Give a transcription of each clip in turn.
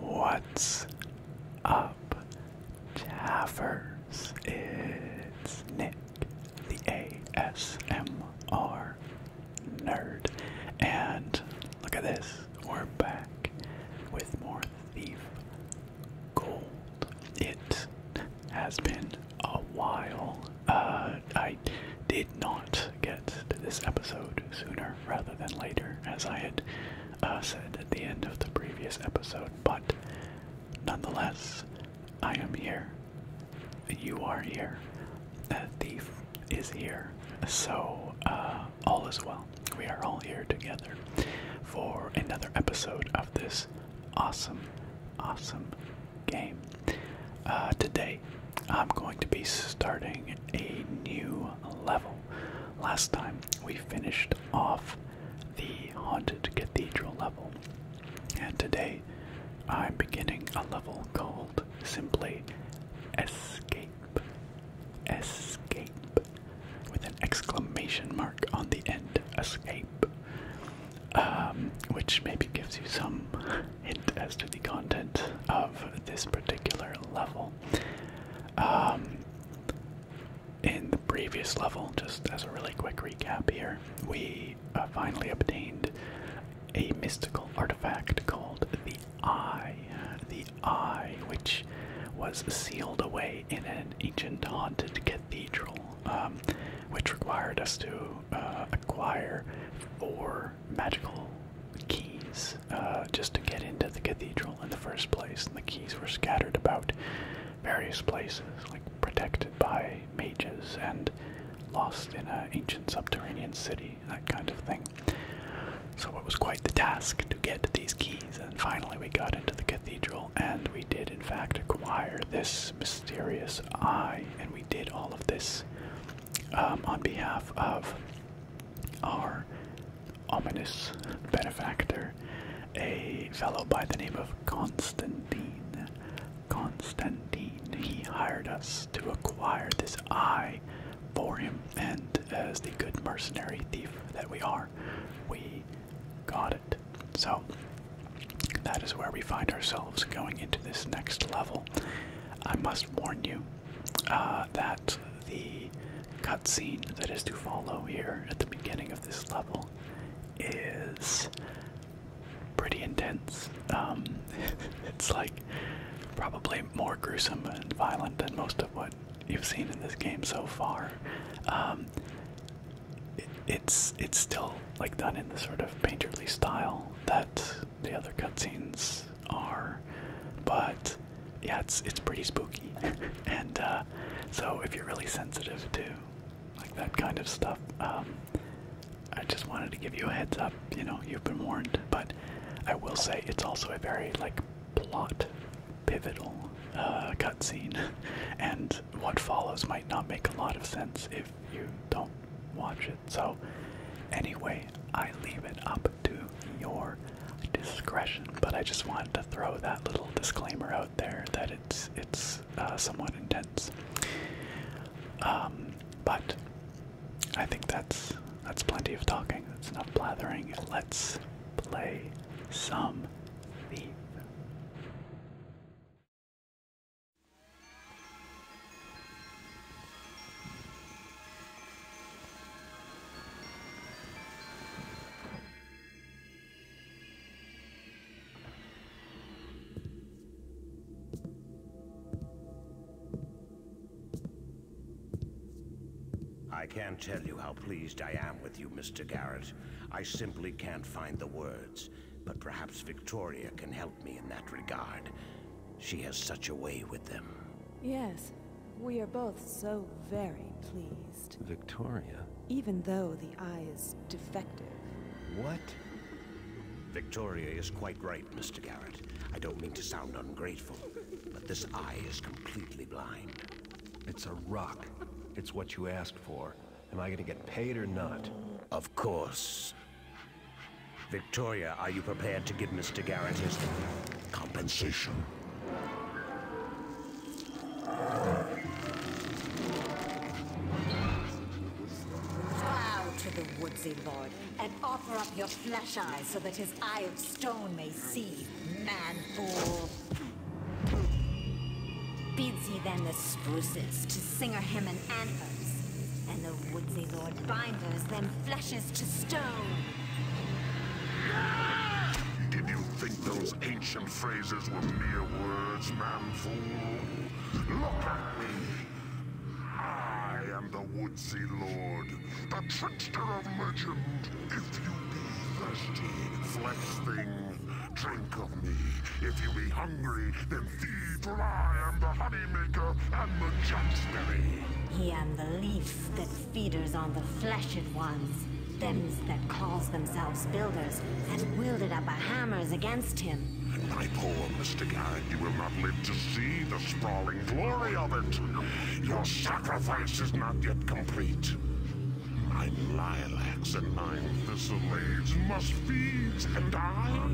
What's up, Chaffers? It's Nick, the ASMR nerd. And look at this. We're back with more Thief Gold. It has been a while. Uh, I did not get to this episode sooner rather than later, as I had uh, said at the end of the previous episode, but nonetheless, I am here. You are here a thief is here. So, uh, all is well. We are all here together for another episode of this awesome, awesome game. Uh, today, I'm going to be starting a new level. Last time, we finished off the Haunted Cathedral level, and today, I'm beginning a level called simply Escape Escape. With an exclamation mark on the end. Escape. Um, which maybe gives you some hint as to the content of this particular level. Um, in the previous level, just as a really quick recap here, we uh, finally obtained a mystical artifact called the Eye. Eye, which was sealed away in an ancient haunted cathedral, um, which required us to uh, acquire four magical keys uh, just to get into the cathedral in the first place. And the keys were scattered about various places, like protected by mages and lost in an ancient subterranean city, that kind of thing. So it was quite the task to get these keys, and finally we got into the cathedral, and we did, in fact, acquire this mysterious eye, and we did all of this um, on behalf of our ominous benefactor, a fellow by the name of Constantine. Constantine, he hired us to acquire this eye for him. And as the good mercenary thief that we are, we got it. So that is where we find ourselves going into this next level. I must warn you uh, that the cutscene that is to follow here at the beginning of this level is pretty intense. Um, it's like probably more gruesome and violent than most of what you've seen in this game so far. Um, it's it's still like done in the sort of painterly style that the other cutscenes are, but yeah, it's it's pretty spooky, and uh, so if you're really sensitive to like that kind of stuff, um, I just wanted to give you a heads up. You know, you've been warned, but I will say it's also a very like plot pivotal uh, cutscene, and what follows might not make a lot of sense if you don't watch it. So, anyway, I leave it up to your discretion. But I just wanted to throw that little disclaimer out there that it's it's uh, somewhat intense. Um, but I think that's that's plenty of talking. That's enough blathering. Let's play some Thief. I can't tell you how pleased I am with you, Mr. Garrett. I simply can't find the words, but perhaps Victoria can help me in that regard. She has such a way with them. Yes, we are both so very pleased. Victoria? Even though the eye is defective. What? Victoria is quite right, Mr. Garrett. I don't mean to sound ungrateful but this eye is completely blind. It's a rock. It's what you asked for. Am I going to get paid or not? Of course. Victoria, are you prepared to give Mr. Garrett his compensation? Bow to the woodsy lord and offer up your flesh eyes so that his eye of stone may see, man fool. Bids he then the spruces to singer him an anthers, and the woodsy lord binders them fleshes to stone. Did you think those ancient phrases were mere words, man fool? Look at me. I am the wood. Woodsy Lord, the trickster of legend. If you be thirsty, flesh thing, drink of me. If you be hungry, then feed, for I am the honey maker and He am the leaf that feeders on the fleshed ones, them that calls themselves builders, and wielded up a hammers against him. my poor Mr. Guy, you will not live to see the sprawl glory of it. Your sacrifice is not yet complete. My lilacs and my thistle must feed, and I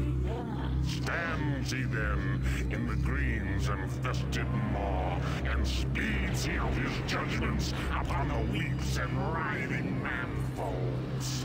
stand he then in the green's infested maw, and speeds he of his judgments upon the weeps and writhing manfolds.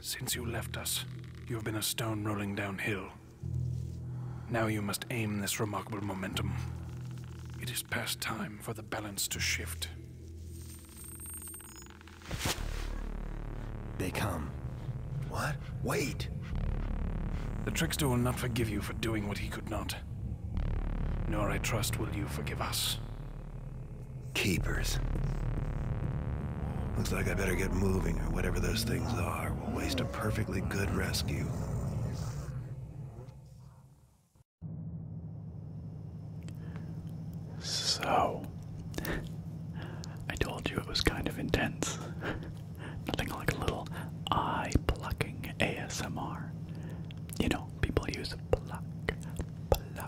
Since you left us, you have been a stone rolling downhill. Now you must aim this remarkable momentum. It is past time for the balance to shift. They come. What? Wait! The trickster will not forgive you for doing what he could not. Nor, I trust, will you forgive us. Keepers. Looks like I better get moving, or whatever those things are will waste a perfectly good rescue. So, I told you it was kind of intense. Nothing like a little eye plucking ASMR. You know, people use pluck, pluck,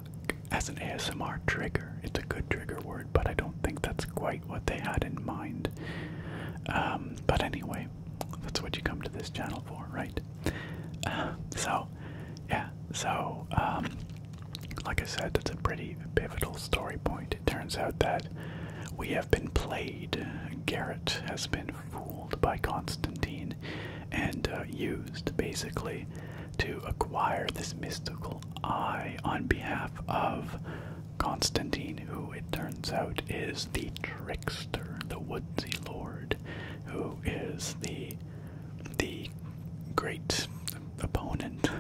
as an ASMR trigger. It's a good trigger word, but I don't think that's quite what they had in mind. Um, but anyway, that's what you come to this channel for, right? so, yeah, so, um, like I said, that's a pretty pivotal story point. It turns out that we have been played. Garrett has been fooled by Constantine and uh, used basically to acquire this mystical eye on behalf of Constantine, who it turns out is the trickster, the woodsy lord, who is the the great opponent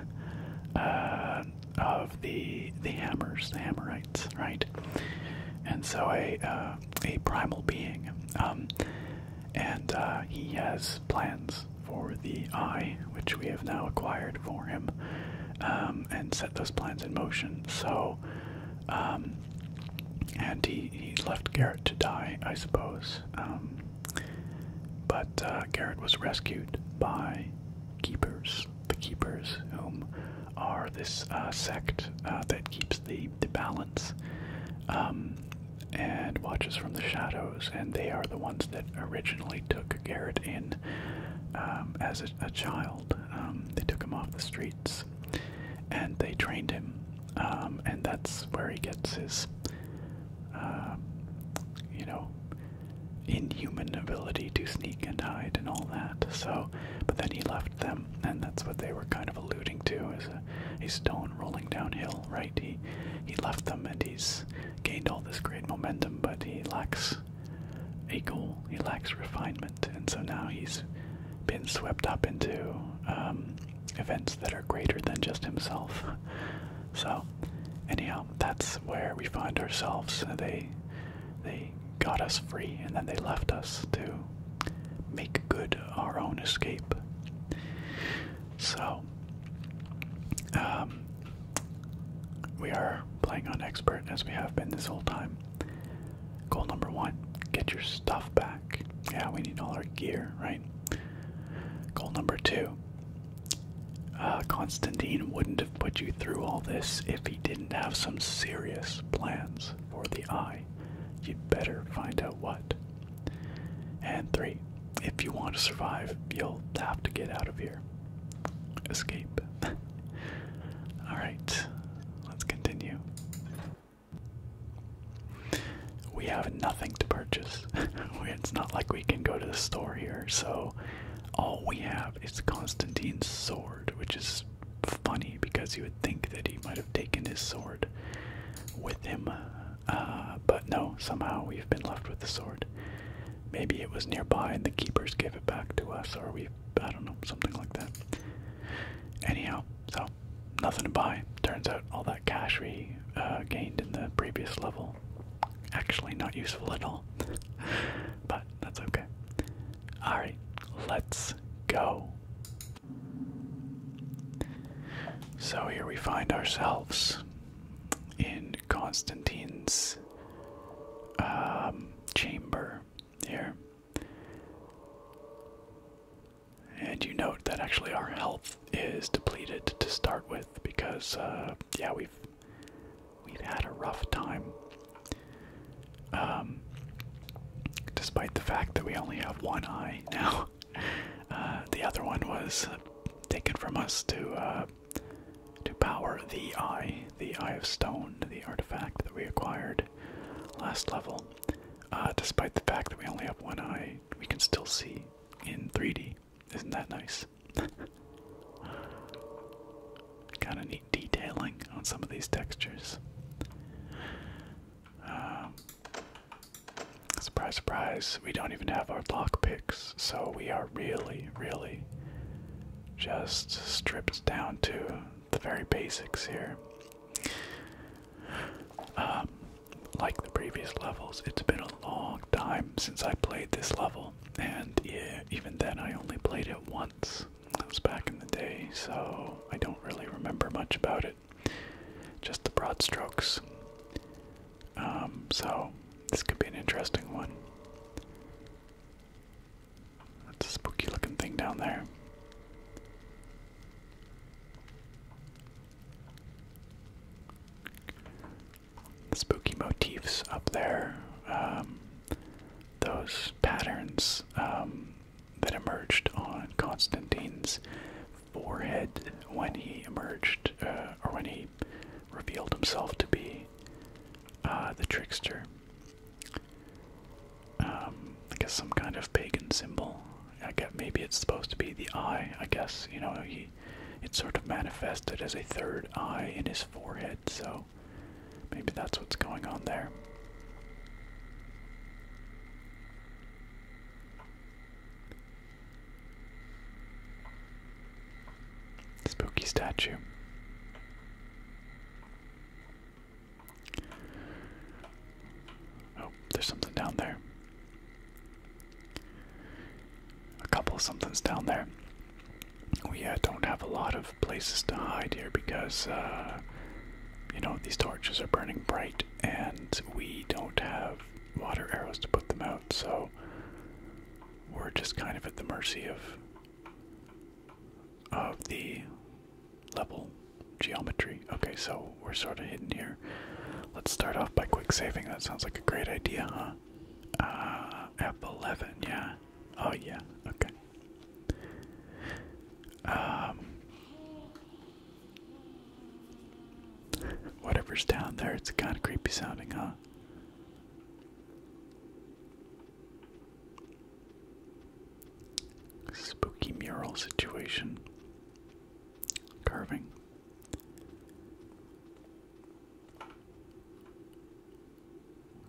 uh, of the the hammers, the Hammerites, right? And so a uh, a primal being, um, and uh, he has plans for the eye, which we have now acquired for him, um, and set those plans in motion. So, um, and he, he left Garrett to die, I suppose. Um, but uh, Garrett was rescued by keepers, the keepers, whom are this uh, sect uh, that keeps the, the balance and watches from the shadows, and they are the ones that originally took Garrett in um, as a, child. Um, they took him off the streets, and they trained him, um, and that's where he gets his, you know, inhuman ability to sneak and hide and all that. So, but then he left them, and that's what they were kind of alluding to is a, a stone rolling downhill, right? He he left them, and he's gained all this great momentum, but he lacks a goal. He lacks refinement, and so now he's been swept up into um, events that are greater than just himself. So, anyhow, that's where we find ourselves. They they got us free, and then they left us to make good our own escape. So, um, we are playing on expert as we have been this whole time. Goal number one get your stuff back. Yeah, we need all our gear, right? Goal number two uh, Constantine wouldn't have put you through all this if he didn't have some serious plans for the eye. You'd better find out what. And three, if you want to survive, you'll have to get out of here. Escape. Alright, let's continue. We have nothing to purchase. it's not like we can go to the store here, so all we have is Constantine's sword, which is funny because you would think that he might have taken his sword with him uh, but no, somehow we've been left with the sword. Maybe it was nearby and the keepers gave it back to us, or we, I don't know, something like that. Anyhow, so nothing to buy. Turns out all that cash we uh, gained in the previous level actually not useful at all. but that's okay. Alright, let's go. So here we find ourselves in Constantine's um, chamber here. And you note that actually our health is depleted to start with because, uh, yeah, we've we've had a rough time. Um, despite the fact that we only have one eye now, uh, the other one was taken from us to uh, to power the Eye, the Eye of Stone, the artifact that we acquired last level. Uh, despite the fact that we only have one eye, we can still see in 3D. Isn't that nice? kind of neat detailing on some of these textures. Uh, Surprise, surprise, we don't even have our lock picks, so we are really, really just stripped down to the very basics here. Um, like the previous levels, it's been a long time since I played this level, and even then I only played it once. That was back in the day, so I don't really remember much about it. Just the broad strokes. Um, so this could be an interesting one. That's a spooky looking thing down there. spooky motifs up there, um, those patterns um, that emerged on Constantine's forehead when he emerged, uh, or when he revealed himself to be uh, the trickster. Um, I guess some kind of pagan symbol. I guess maybe it's supposed to be the eye. I guess you know he. It sort of manifested as a third eye in his forehead, so maybe that's what's going on there. Spooky statue. Oh, there's something down there. A couple of somethings down there. We uh, don't have a lot of places to hide here because, uh, you know, these torches are burning bright and we don't have water arrows to put them out, so we're just kind of at the mercy of of the level geometry. Okay, so we're sort of hidden here. Let's start off by quick saving. That sounds like a great idea, huh? Uh, F11, yeah. Oh, yeah, okay. Um, whatever's down there, it's kind of creepy sounding, huh? Spooky mural situation. Carving.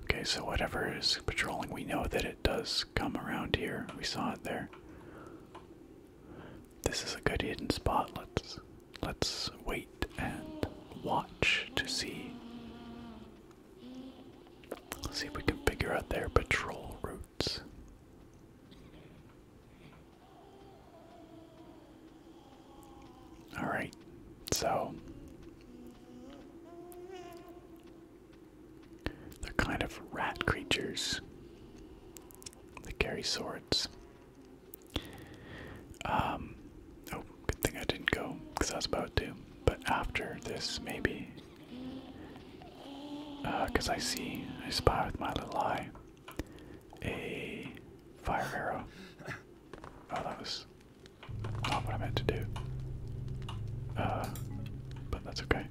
Okay, so whatever is patrolling, we know that it does come around here. We saw it there. This is a good hidden spot. Let's let's wait and watch to see. Let's see if we can figure out their patrol routes. Alright, so they're kind of rat creatures. They carry swords. Um, oh, good thing I didn't go because I was about to. But after this, maybe, because uh, I see, I spy with my little eye a fire arrow. Oh, that was not what I meant to do. Uh, but that's okay.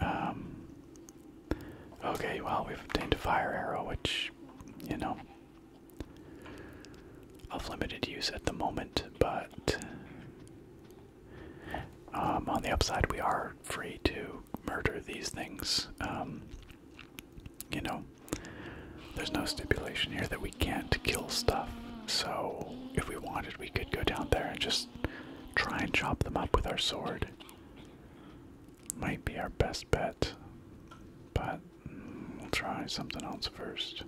um, Okay, well, we've obtained a fire arrow, which, you know, of limited use at the moment, but um, on the upside, we are free to murder these things. Um, you know, there's no stipulation here that we can't kill stuff, so if we wanted, we could go down there and just try and chop them up with our sword might be our best bet, but we'll try something else first.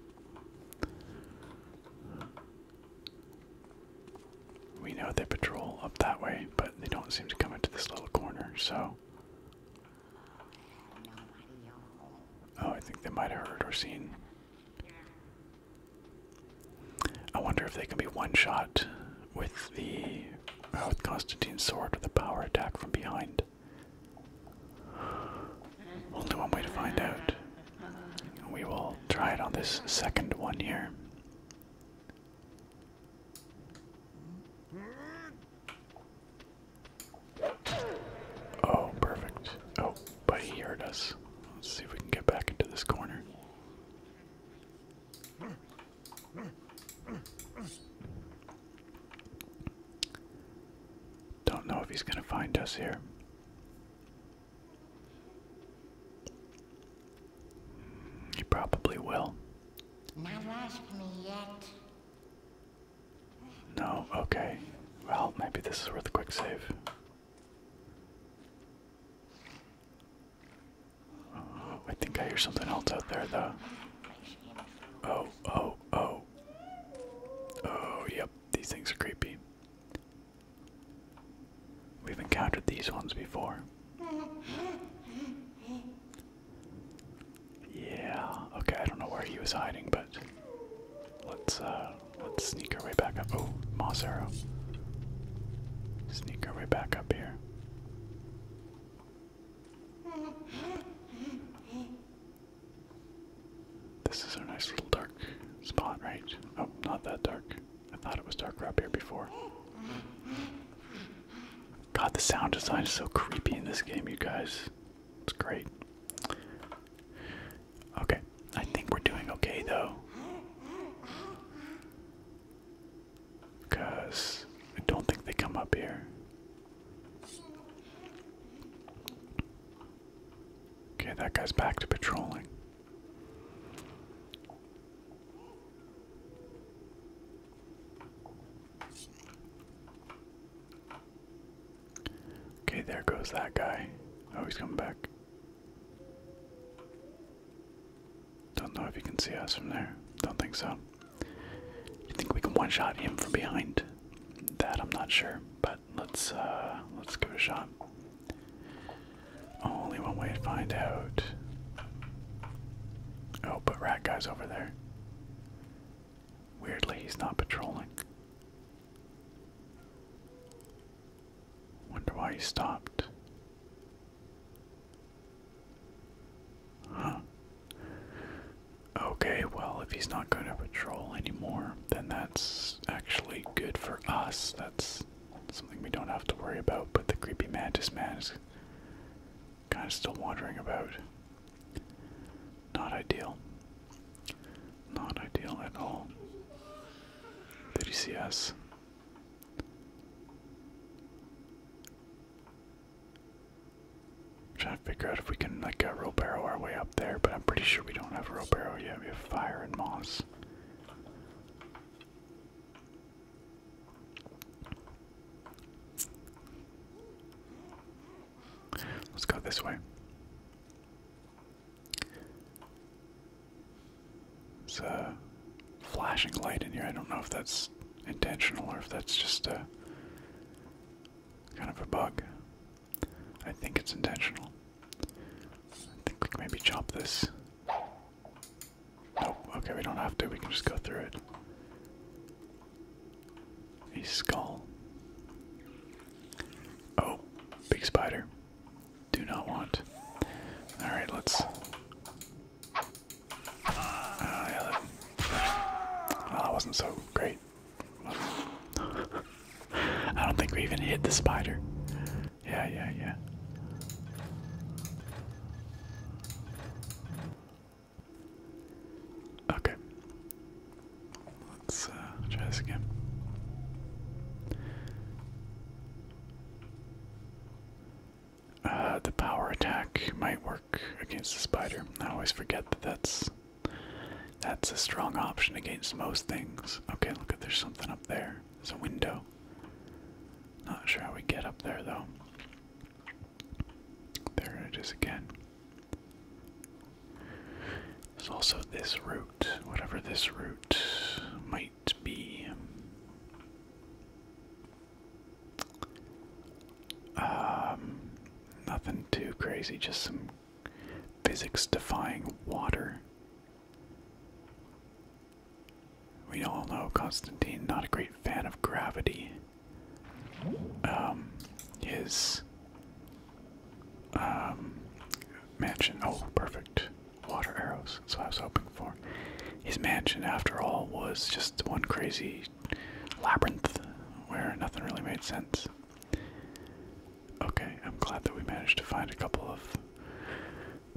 We know they patrol up that way, but they don't seem to come into this little corner, so. Oh, I think they might have heard or seen. I wonder if they can be one shot with the with Constantine's sword with a power attack from behind. Only one way to find out. We will try it on this second one here. Oh, perfect. Oh, but he heard us. Let's see if we can get back into this corner. Don't know if he's going to find us here. He probably will. Not ask me yet. No, okay. Well, maybe this is worth a quick save. Uh, I think I hear something else out there, though. Oh, oh, oh. Oh, yep. These things are creepy. We've encountered these ones before. Yeah. Okay, I don't know where he was hiding, but let's uh let's sneak our way back up. Oh, moss Sneak our way back up here. This is our nice little dark spot, right? Oh, not that dark. I thought it was dark up here before. God, the sound design is so creepy in this game, you guys. It's great. Okay, I think we're doing okay though. Because I don't think they come up here. Okay, that guy's back to patrolling. Okay, there goes that guy. Oh, he's coming back. Don't know if you can see us from there. Don't think so. You think we can one-shot him from behind? That I'm not sure, but let's uh let's give it a shot. Only one way to find out. Oh, but rat guy's over there. Weirdly, he's not patrolling. Wonder why he stopped. Huh. Okay, well, if he's not going to patrol anymore, then that's actually good for us. That's something we don't have to worry about, but the creepy mantis man is kind of still wandering about. Not ideal. Not ideal at all. Did he see us? trying to figure out if we can like uh, barrow our way up there, but I'm pretty sure we don't have row barrow yet. We have fire and moss. Let's go this way. There's a flashing light in here. I don't know if that's intentional or if that's just a kind of a bug. I think it's intentional. I think we can maybe chop this. Nope, okay, we don't have to, we can just go through it. A skull. Oh, big spider. Do not want. Alright, let's Ah, that, wasn't so great. I don't think we even hit the spider. Yeah, yeah, yeah. Okay. Let's uh, try this again. Uh, the power attack might work against the spider. I always forget that that's that's a strong option against most things. Okay, look at there's something up there. There's a window. Not sure how we get up there though. There it is again. There's also this route, whatever this route might be. Um, nothing too crazy, just some physics-defying water. We all know Constantine, not a great fan of gravity. Um, his um, mansion. Oh, perfect. Water arrows. So I was hoping for. His mansion, after all, was just one crazy labyrinth where nothing really made sense. Okay, I'm glad that we managed to find a couple of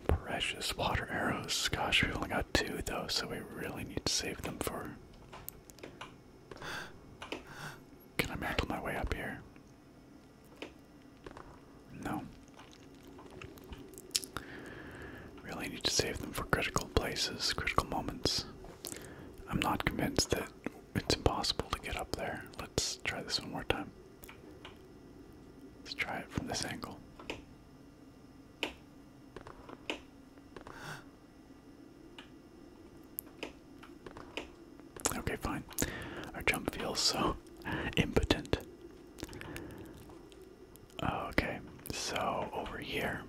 precious water arrows. Gosh, we only got two though, so we really need to save them for. Can I mantle my way up here? No. Really need to save them for critical places, critical moments. I'm not convinced that it's impossible to get up there. Let's try this one more time. Let's try it from this angle. Okay, fine. Our jump feels so impotent. Okay, so over here.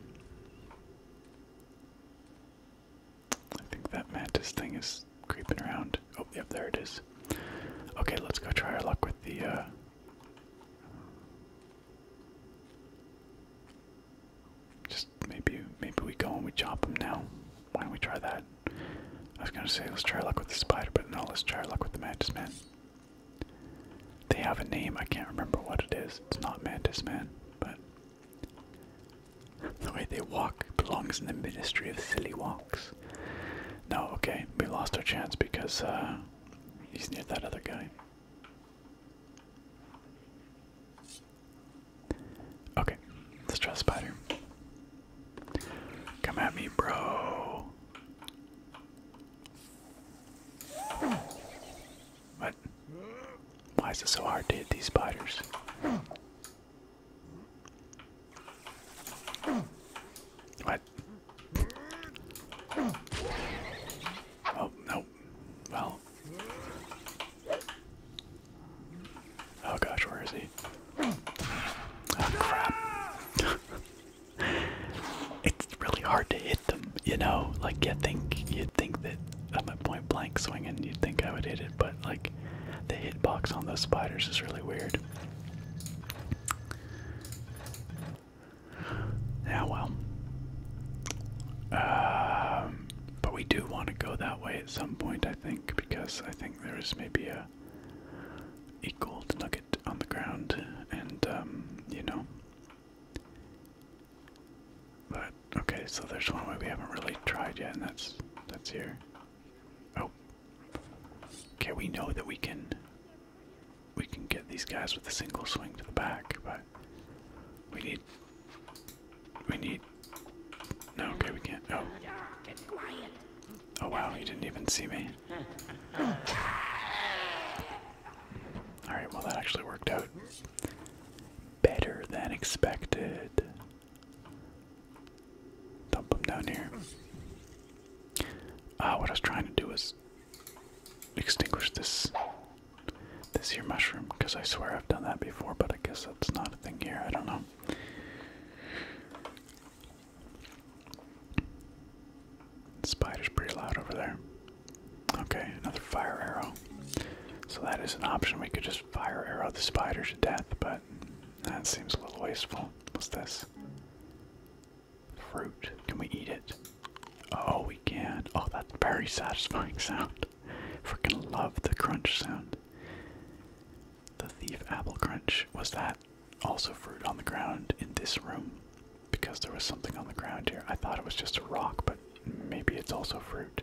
I think that mantis thing is creeping around. Oh, yep, there it is. Okay, let's go try our luck with the. Uh... Just maybe, maybe we go and we chop them now. Why don't we try that? I was gonna say let's try our luck with the spider, but no, let's try our luck with the mantis man. They have a name, I can't remember what it is. It's not Mantis Man, but the way they walk belongs in the Ministry of Silly Walks. No, okay, we lost our chance because uh, he's near that other guy. Okay, let's try Spider. Come at me, bro. But why is it so hard to hit these spiders? What? Oh, nope. Well. Oh gosh, where is he? Oh crap. it's really hard to hit them, you know. Like you think you'd think that I'm a point blank swinging, you'd think I would hit it, but like the hit box on those spiders is really weird. Yeah, well. Um, but we do want to go that way at some point, I think, because I think there is maybe a, a gold nugget on the ground, and um, you know, but okay, so there's one way we haven't really tried yet, and that's that's here. Oh. Okay, we know that we can we can get these guys with a single swing to the back, but we need we need No, okay, we can't. Oh. Oh wow, you didn't even see me. Alright, well, that actually worked out better than expected. Dump down here. Ah, what I was trying to do was extinguish this this here mushroom, because I swear I've done that before, but I guess that's not a thing here. I don't know. The spider's pretty loud over there. Okay, another fire arrow. So that is an option. We could just fire arrow the spider to death, but that seems a little wasteful. What's this? Fruit. Can we eat it? Oh, we can. Oh, that's very satisfying sound. Freaking love the crunch sound. The thief apple crunch. Was that also fruit on the ground in this room? because there was something on the ground here. I thought it was just a rock, but maybe it's also fruit.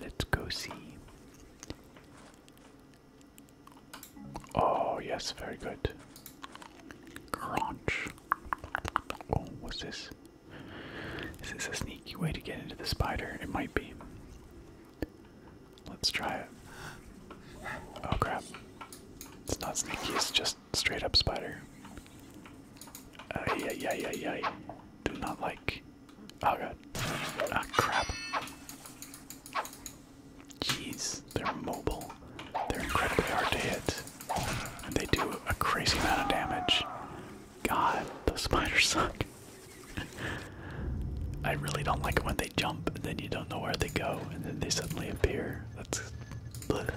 Let's go see. Oh, yes, very good. Crunch. Oh, what's this? Is this a sneaky way to get into the spider? It might be. Let's try it. Oh crap. It's not sneaky, it's just straight up spider. Ay, ay, ay, ay, Do not like. Oh god. Ah, crap. Jeez, they're mobile. They're incredibly hard to hit. And they do a crazy amount of damage. God, those spiders suck. I really don't like it when they jump and then you don't know where they go and then they suddenly appear. That's. Bleh.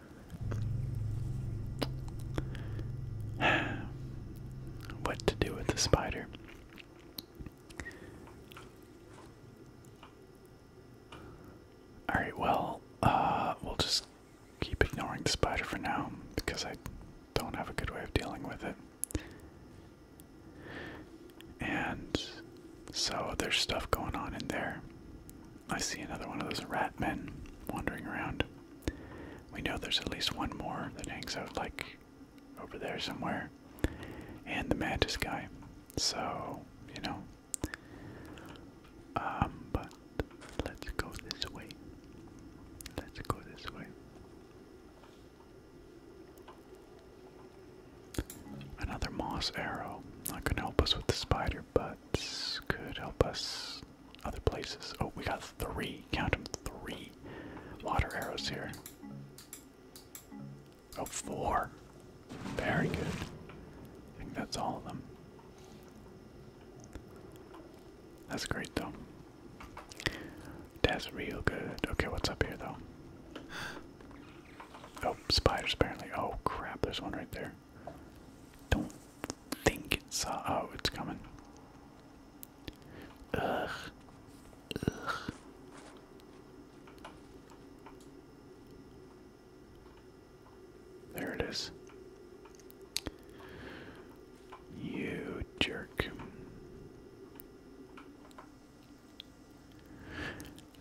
what to do with the spider. Alright, well, uh, we'll just keep ignoring the spider for now because I don't have a good way of dealing with it. And so there's stuff going on in there. I see another one of those rat men wandering around. We know there's at least one more that hangs out like over there somewhere. And the mantis guy. So, you know. Um, but let's go this way. Let's go this way. Another moss arrow. Not gonna help us with the spider, but could help us other places. Oh, we got three. Count them, three water arrows here. Oh, four. Very good. I think that's all of them. That's great, though. That's real good. Okay, what's up here, though? Oh, spiders, apparently. Oh, crap, there's one right there. Don't think it's uh, oh, it's coming. Ugh. Ugh. There it is. You jerk.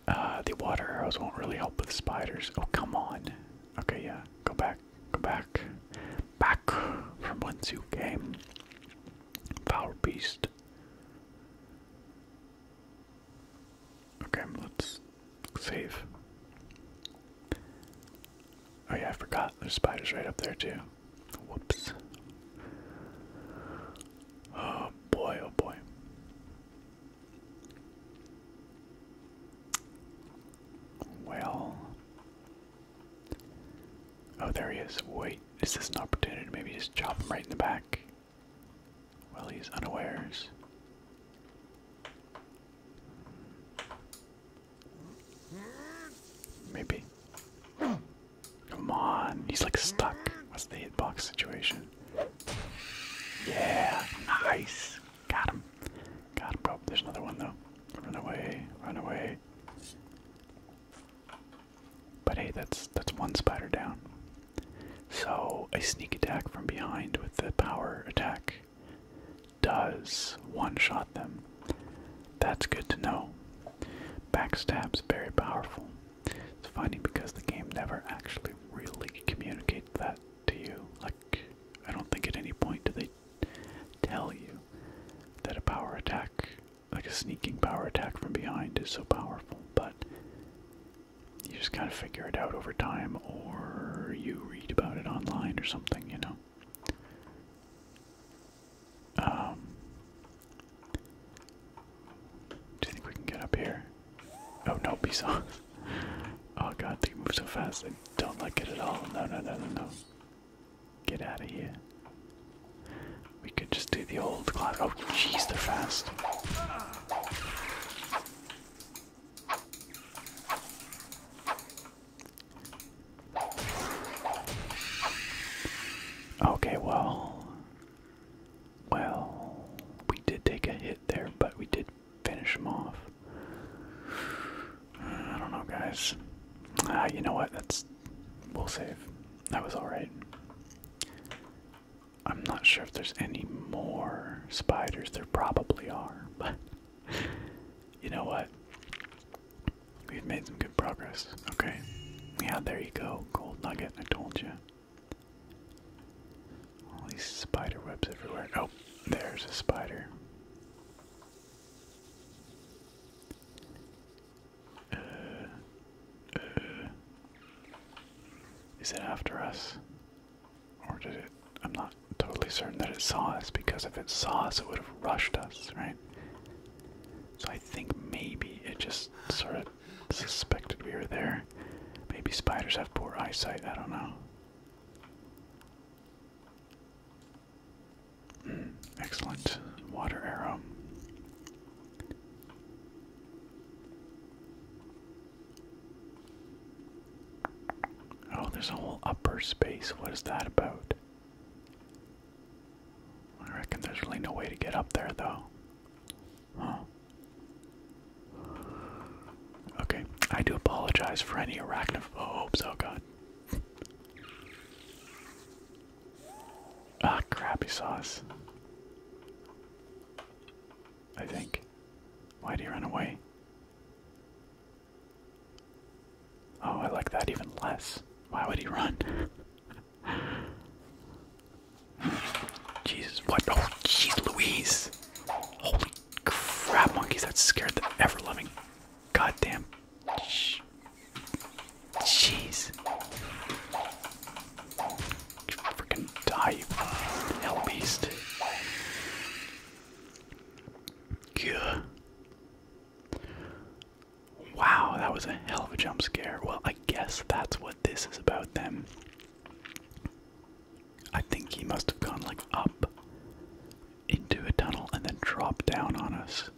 Uh, the water arrows won't really help with spiders. Oh, come on. Okay, yeah, go back, go back, back from whence you came, Power beast. Okay, let's save. Oh yeah, I forgot. There's spiders right up there too. Whoops. Oh boy, oh boy. Well. Oh, there he is. Wait, is this an opportunity to maybe just chop him right in the back? Well, he's unawares. Maybe. Come on, he's like stuck. What's the hitbox situation? Yeah, nice. Got him. Got him, bro. There's another one, though. Run away. Run away. But hey, that's that's one spider down. So a sneak attack from behind with the power attack does one-shot them. That's good to know. Backstab's very powerful. It's funny because the game never actually really communicates that to you. Like, I don't think at any point do they tell you that a power attack, like a sneaking power attack from behind, is so powerful, but you just kind of figure it out over time, or you read about it online or something, you know? Um, do you think we can get up here? Oh no, be soft. Oh god, they move so fast. I don't like it at all. No, no, no, no, no. Get out of here. We could just do the old class. Oh, jeez, they're fast. Okay, well. Well, we did take a hit there, but we did finish them off. I don't know, guys. Ah, you know what? That's. We'll save. That was alright. I'm not sure if there's any more spiders. There probably are, but. You know what? We've made some good progress. Okay. Yeah, there you go. Gold nugget, I told you. All these spider webs everywhere. Oh, there's a spider. Uh, uh, is it after us? Or did it? I'm not totally certain that it saw us because if it saw us, it would have rushed us, right? So I think maybe it just sort of suspected we were there. Maybe spiders have poor eyesight, I don't know. Excellent. Water arrow. Oh, there's a whole upper space. What is that about? I reckon there's really no way to get up there, though. Huh. Okay, I do apologize for any arachnophobes. Oh, oh god. Ah, crappy sauce. I think. Why'd he run away? Oh, I like that even less. Why would he run? Jesus, what? Oh, jeez Louise. Holy crap monkeys that scared the ever loving goddamn. Jeez. You freaking die, you hell beast. Yeah. Wow, that was a hell of a jump scare. Well, I guess that's what this is about then. I think he must have gone like up into a tunnel and then drop down on us.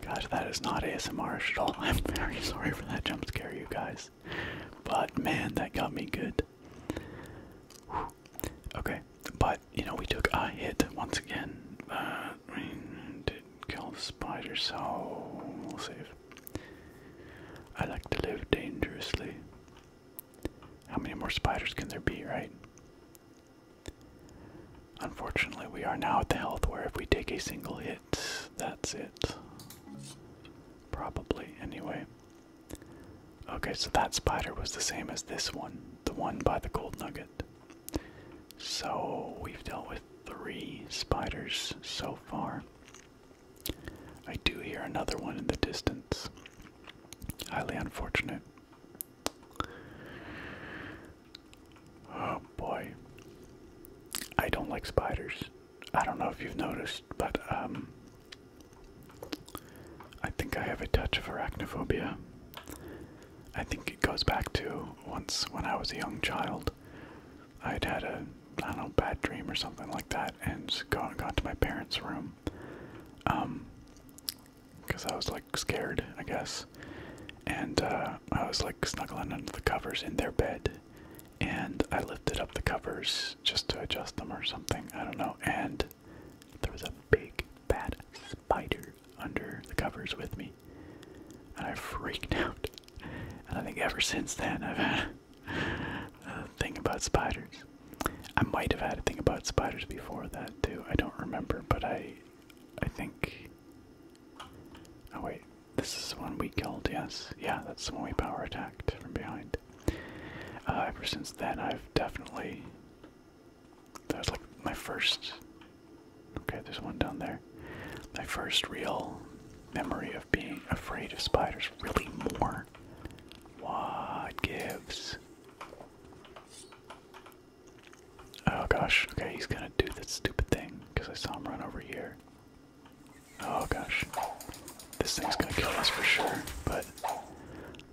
Gosh, that is not ASMR at all. I'm very sorry for that jump scare, you guys. But man, that got me good. Okay, but you know, we took a hit once again. Uh, we did kill the spider, so we'll save. I like to live dangerously. How many more spiders can there be, right? Unfortunately, we are now at the health where if we take a single hit, that's it. Probably, anyway. Okay, so that spider was the same as this one, the one by the gold nugget. So we've dealt with three spiders so far. I do hear another one in the distance. Highly unfortunate. Oh boy. I don't like spiders. I don't know if you've noticed, but um I think I have a touch of arachnophobia. I think it goes back to once when I was a young child. I'd had a I don't know, bad dream or something like that, and gone got to my parents' room, um, because I was like scared, I guess, and uh, I was like snuggling under the covers in their bed, and I lifted up the covers just to adjust them or something, I don't know, and there was a big bad spider under the covers with me, and I freaked out, and I think ever since then I've had a uh, thing about spiders. I might have had a thing about spiders before that too. I don't remember, but I, I think. Oh wait, this is the one we killed. Yes, yeah, that's the one we power attacked from behind. Uh, ever since then, I've definitely. That was like my first. Okay, there's one down there. My first real memory of being afraid of spiders, really more what gives? Oh gosh, okay, he's gonna do that stupid thing because I saw him run over here. Oh gosh, this thing's gonna kill us for sure, but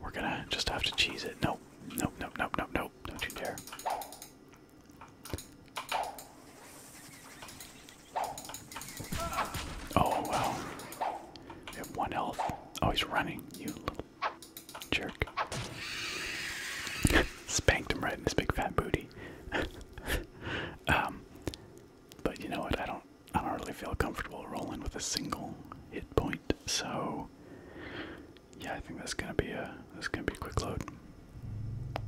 we're gonna just have to cheese it. Nope, nope, nope, nope, nope, nope, don't you dare. Oh, well. We have one elf. Oh, he's running, you little jerk. Spanked him right in his big fat booty. um, but you know what? I don't. I don't really feel comfortable rolling with a single hit point. So, yeah, I think that's gonna be a that's gonna be a quick load.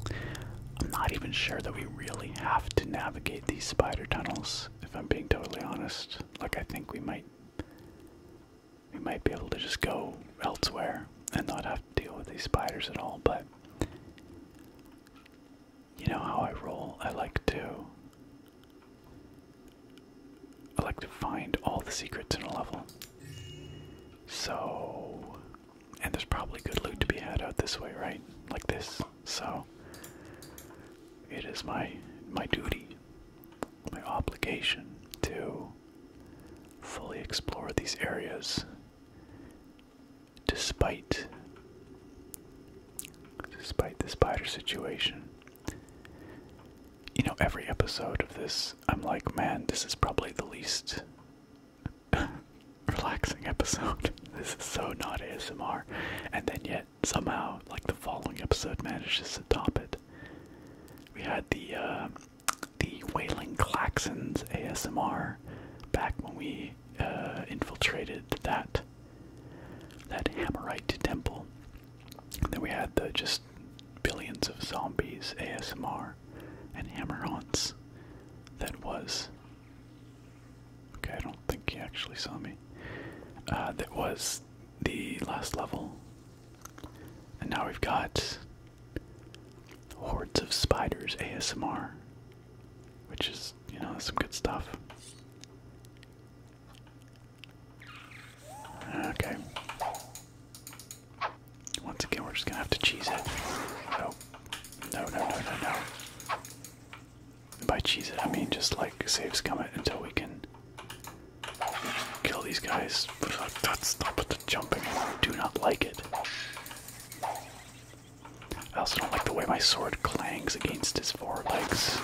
I'm not even sure that we really have to navigate these spider tunnels if I'm being totally honest. Like I think we might we might be able to just go elsewhere and not have to deal with these spiders at all, but you know how I roll. I like to I like to find all the secrets in a level. So and there's probably good loot to be had out this way, right? Like this. So it is my my duty, my obligation to fully explore these areas despite despite the spider situation. You know, every episode of this, I'm like, man, this is probably the least relaxing episode. this is so not ASMR. And then, yet, somehow, like the following episode, manages to top it. We had the uh, the Wailing Claxons ASMR back when we uh, infiltrated that that Hammerite temple. then we had the just billions of zombies ASMR and hammer-ons that was Okay, I don't think he actually saw me. Uh, that was the last level. And now we've got Hordes of Spiders ASMR, which is, you know, some good stuff. Okay. Once again, we're just gonna have to cheese it. No, no, no, no, no by cheese it, I mean just like save Scummit until we can kill these guys. That's with the jumping. I do not like it. I also don't like the way my sword clangs against his forelegs.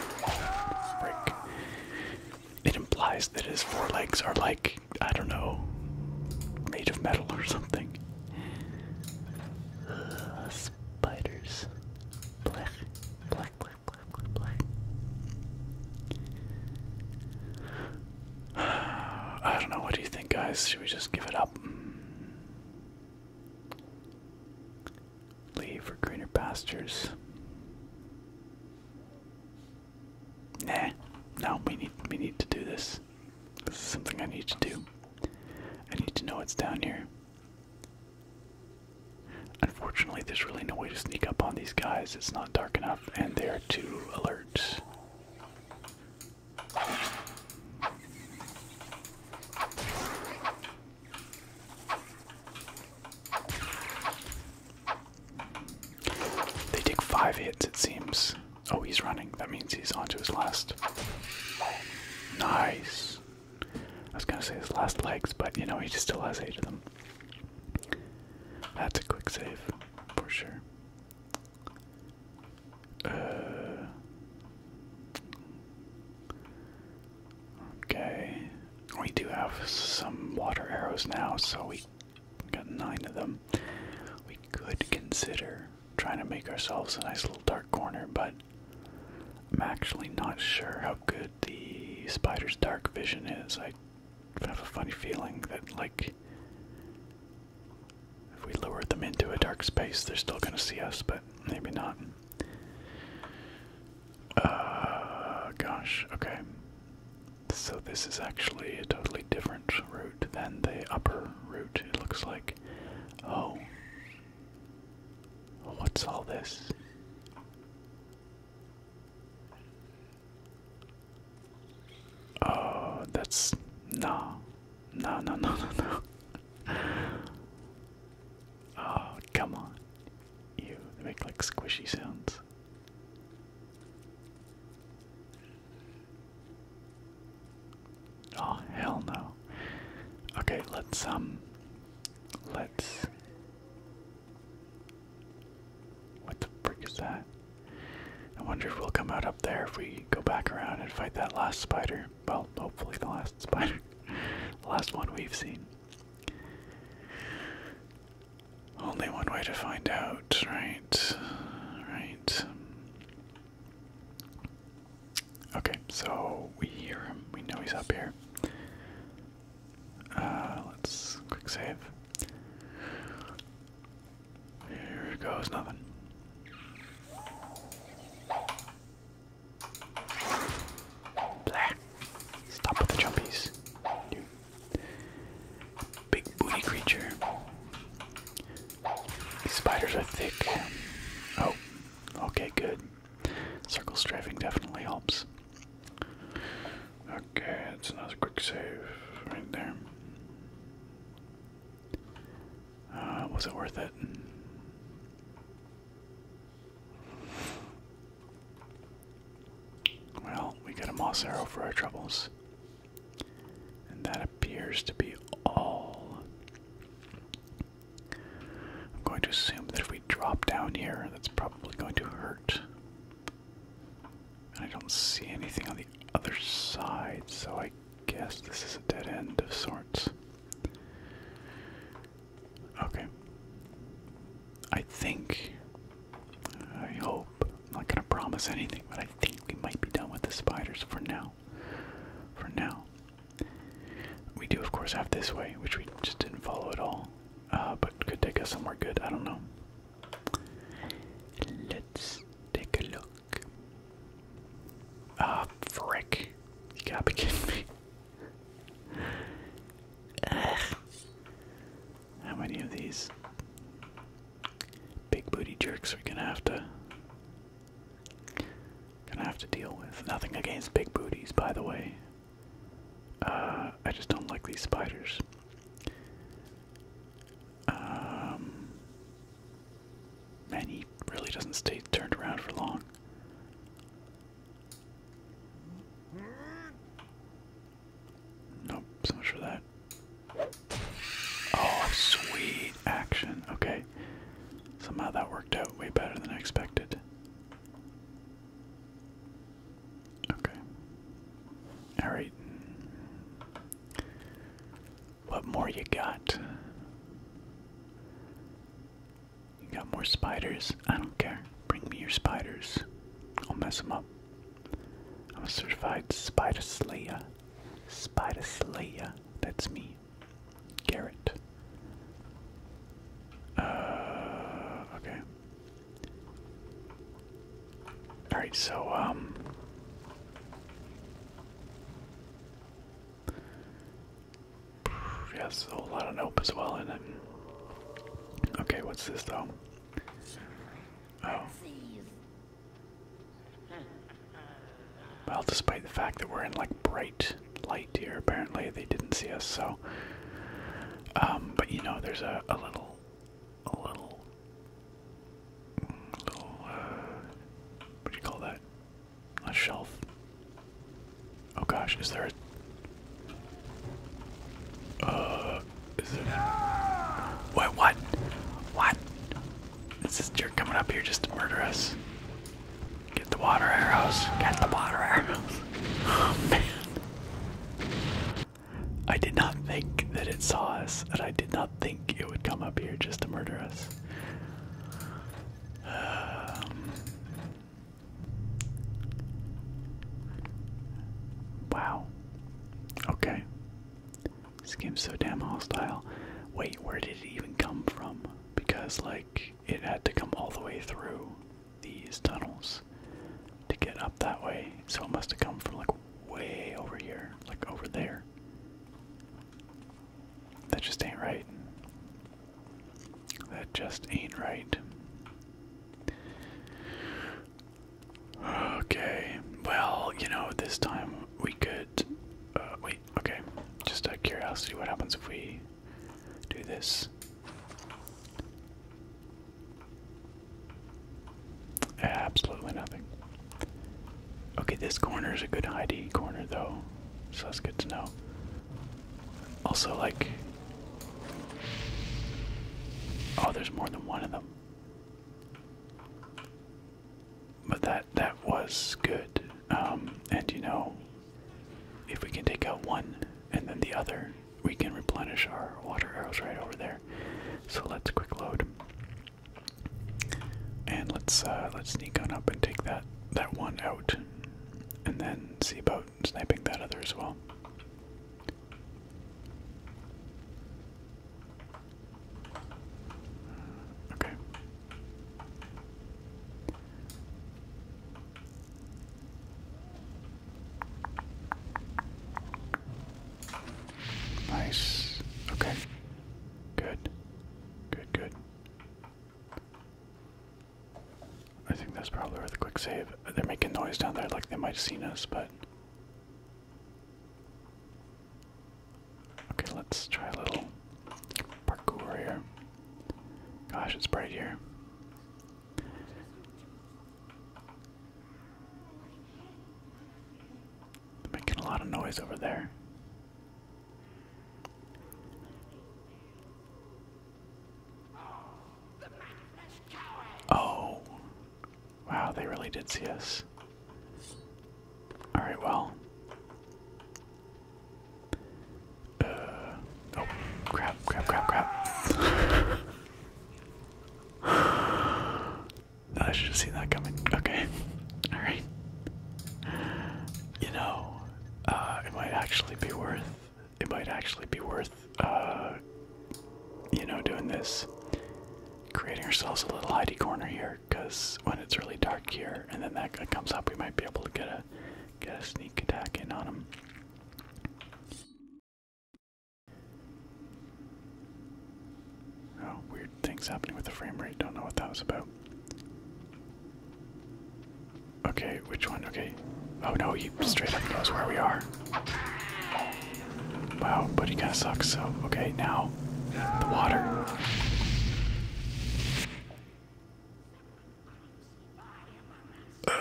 It implies that his forelegs are like, I don't know, made of metal or something spiders. I don't know. What do you think, guys? Should we just give it up? Leave for greener pastures. Nah, no, we need we need to do this. This is something I need to do. I need to know what's down here. Unfortunately, there's really no way to sneak up on these guys. It's not dark enough, and they're too alert. They take five hits, it seems. Oh, he's running. That means he's onto his last. Nice. I was gonna say his last legs, but you know he still has eight of them. That's a quick save for sure. Uh, okay, we do have some water arrows now, so we got nine of them. We could consider trying to make ourselves a nice little dark corner, but I'm actually not sure how good the spider's dark vision is. I have a funny feeling that, like, if we lure them into a dark space, they're still gonna see us, but maybe not. Uh, gosh, okay. So this is actually a totally different route than the upper route, it looks like. Oh, What's all this? Oh, that's no, no, no, no, no, no. oh, come on. You make like squishy sounds. Oh, hell no. Okay, let's um Let's. What the frick is that? I wonder if we'll come out up there if we go back around and fight that last spider. Well, hopefully, the last spider. the last one we've seen. Only one way to find out, right? Right. Okay, so we hear him. We know he's up here. Uh, let's quick save. Here goes nothing. Blah. Stop with the jumpies. big booty creature. These spiders are thick. Oh, okay, good. Circle strafing definitely helps. Okay, that's another quick save right there. Uh, was it worth it? Well, we got a moss arrow for our troubles. And that appears to be all. I'm going to assume that if we drop down here, that's probably going to hurt. And I don't see anything on the other side, so I guess this is a dead end of sorts. Okay. I think. I hope. I'm not going to promise anything, but I think we might be done with the spiders for now. For now. We do, of course, have this way, which we just didn't follow at all, uh, but could take us somewhere good. I don't know. Let's take a look. Ah, frick. You got me. How many of these big booty jerks are we gonna have to gonna have to deal with? Nothing against big booties, by the way. Uh, I just don't like these spiders. Um, man, he really doesn't stay turned around for long. Nope, so much for that. Oh, sweet action. Okay. Somehow that worked out way better than I expected. Okay. Alright. What more you got? You got more spiders? I don't care. Bring me your spiders. I'll mess them up. I'm a certified spider slayer. Spider slayer. That's me. Garrett. Uh, okay. All right, so um Yes, a whole lot of nope as well in it. Okay, what's this though? Oh. Well, despite the fact that we're in like bright light here. Apparently, they didn't see us. So, um, but you know, there's a, little, a little, little, uh, what do you call that? A shelf. Oh gosh, is there a? Uh, is there? What? What? What? Is this jerk coming up here just to murder us? Get the water arrows. Get the water arrows. Oh man. I did not think that it saw us, That I did not think it would come up here just to murder us. Um, wow. Okay. This game's so damn hostile. Wait, where did it even come from? Because, like, it had to come all the way through these tunnels to get up that way. So it must have come from like way over here, like over there. That just ain't right. That just ain't right. Okay, well, you know, this time we could. Uh, wait, okay. Just out curiosity, what happens if we do this. Absolutely nothing. Okay, this corner is a good hidey corner though, so that's good to know. Also, like, oh, there's more than one of them. But that that was good, um, and you know, if we can take out one and then the other, we can replenish our water arrows right over there. So let's quick load. And let's uh, let's sneak on up and take that that one out, and then see about sniping that other as well. Okay. Nice. Okay. Good. Good, good. I think that's probably worth a quick save. They're making noise down there like they might have seen us, but. Okay, let's try a little parkour here. Gosh, it's bright here. They're making a lot of noise over there. Oh, wow, they really did see us. Alright, well, uh, oh, crap, crap, crap, crap. I should have seen that coming. Okay. Alright. You know, uh, it might actually be worth, it might actually be worth, uh, you know, doing this. Creating ourselves a little hidey corner here, because when it's really dark here and then that guy comes up, we might be able to get a, get a sneak attack in on him. Oh, weird things happening with the frame rate. Don't know what that was about. Okay, which one? Okay. Oh no, he straight up knows where we are. Wow, but he kind of sucks, so. Okay, now. The water. Uh,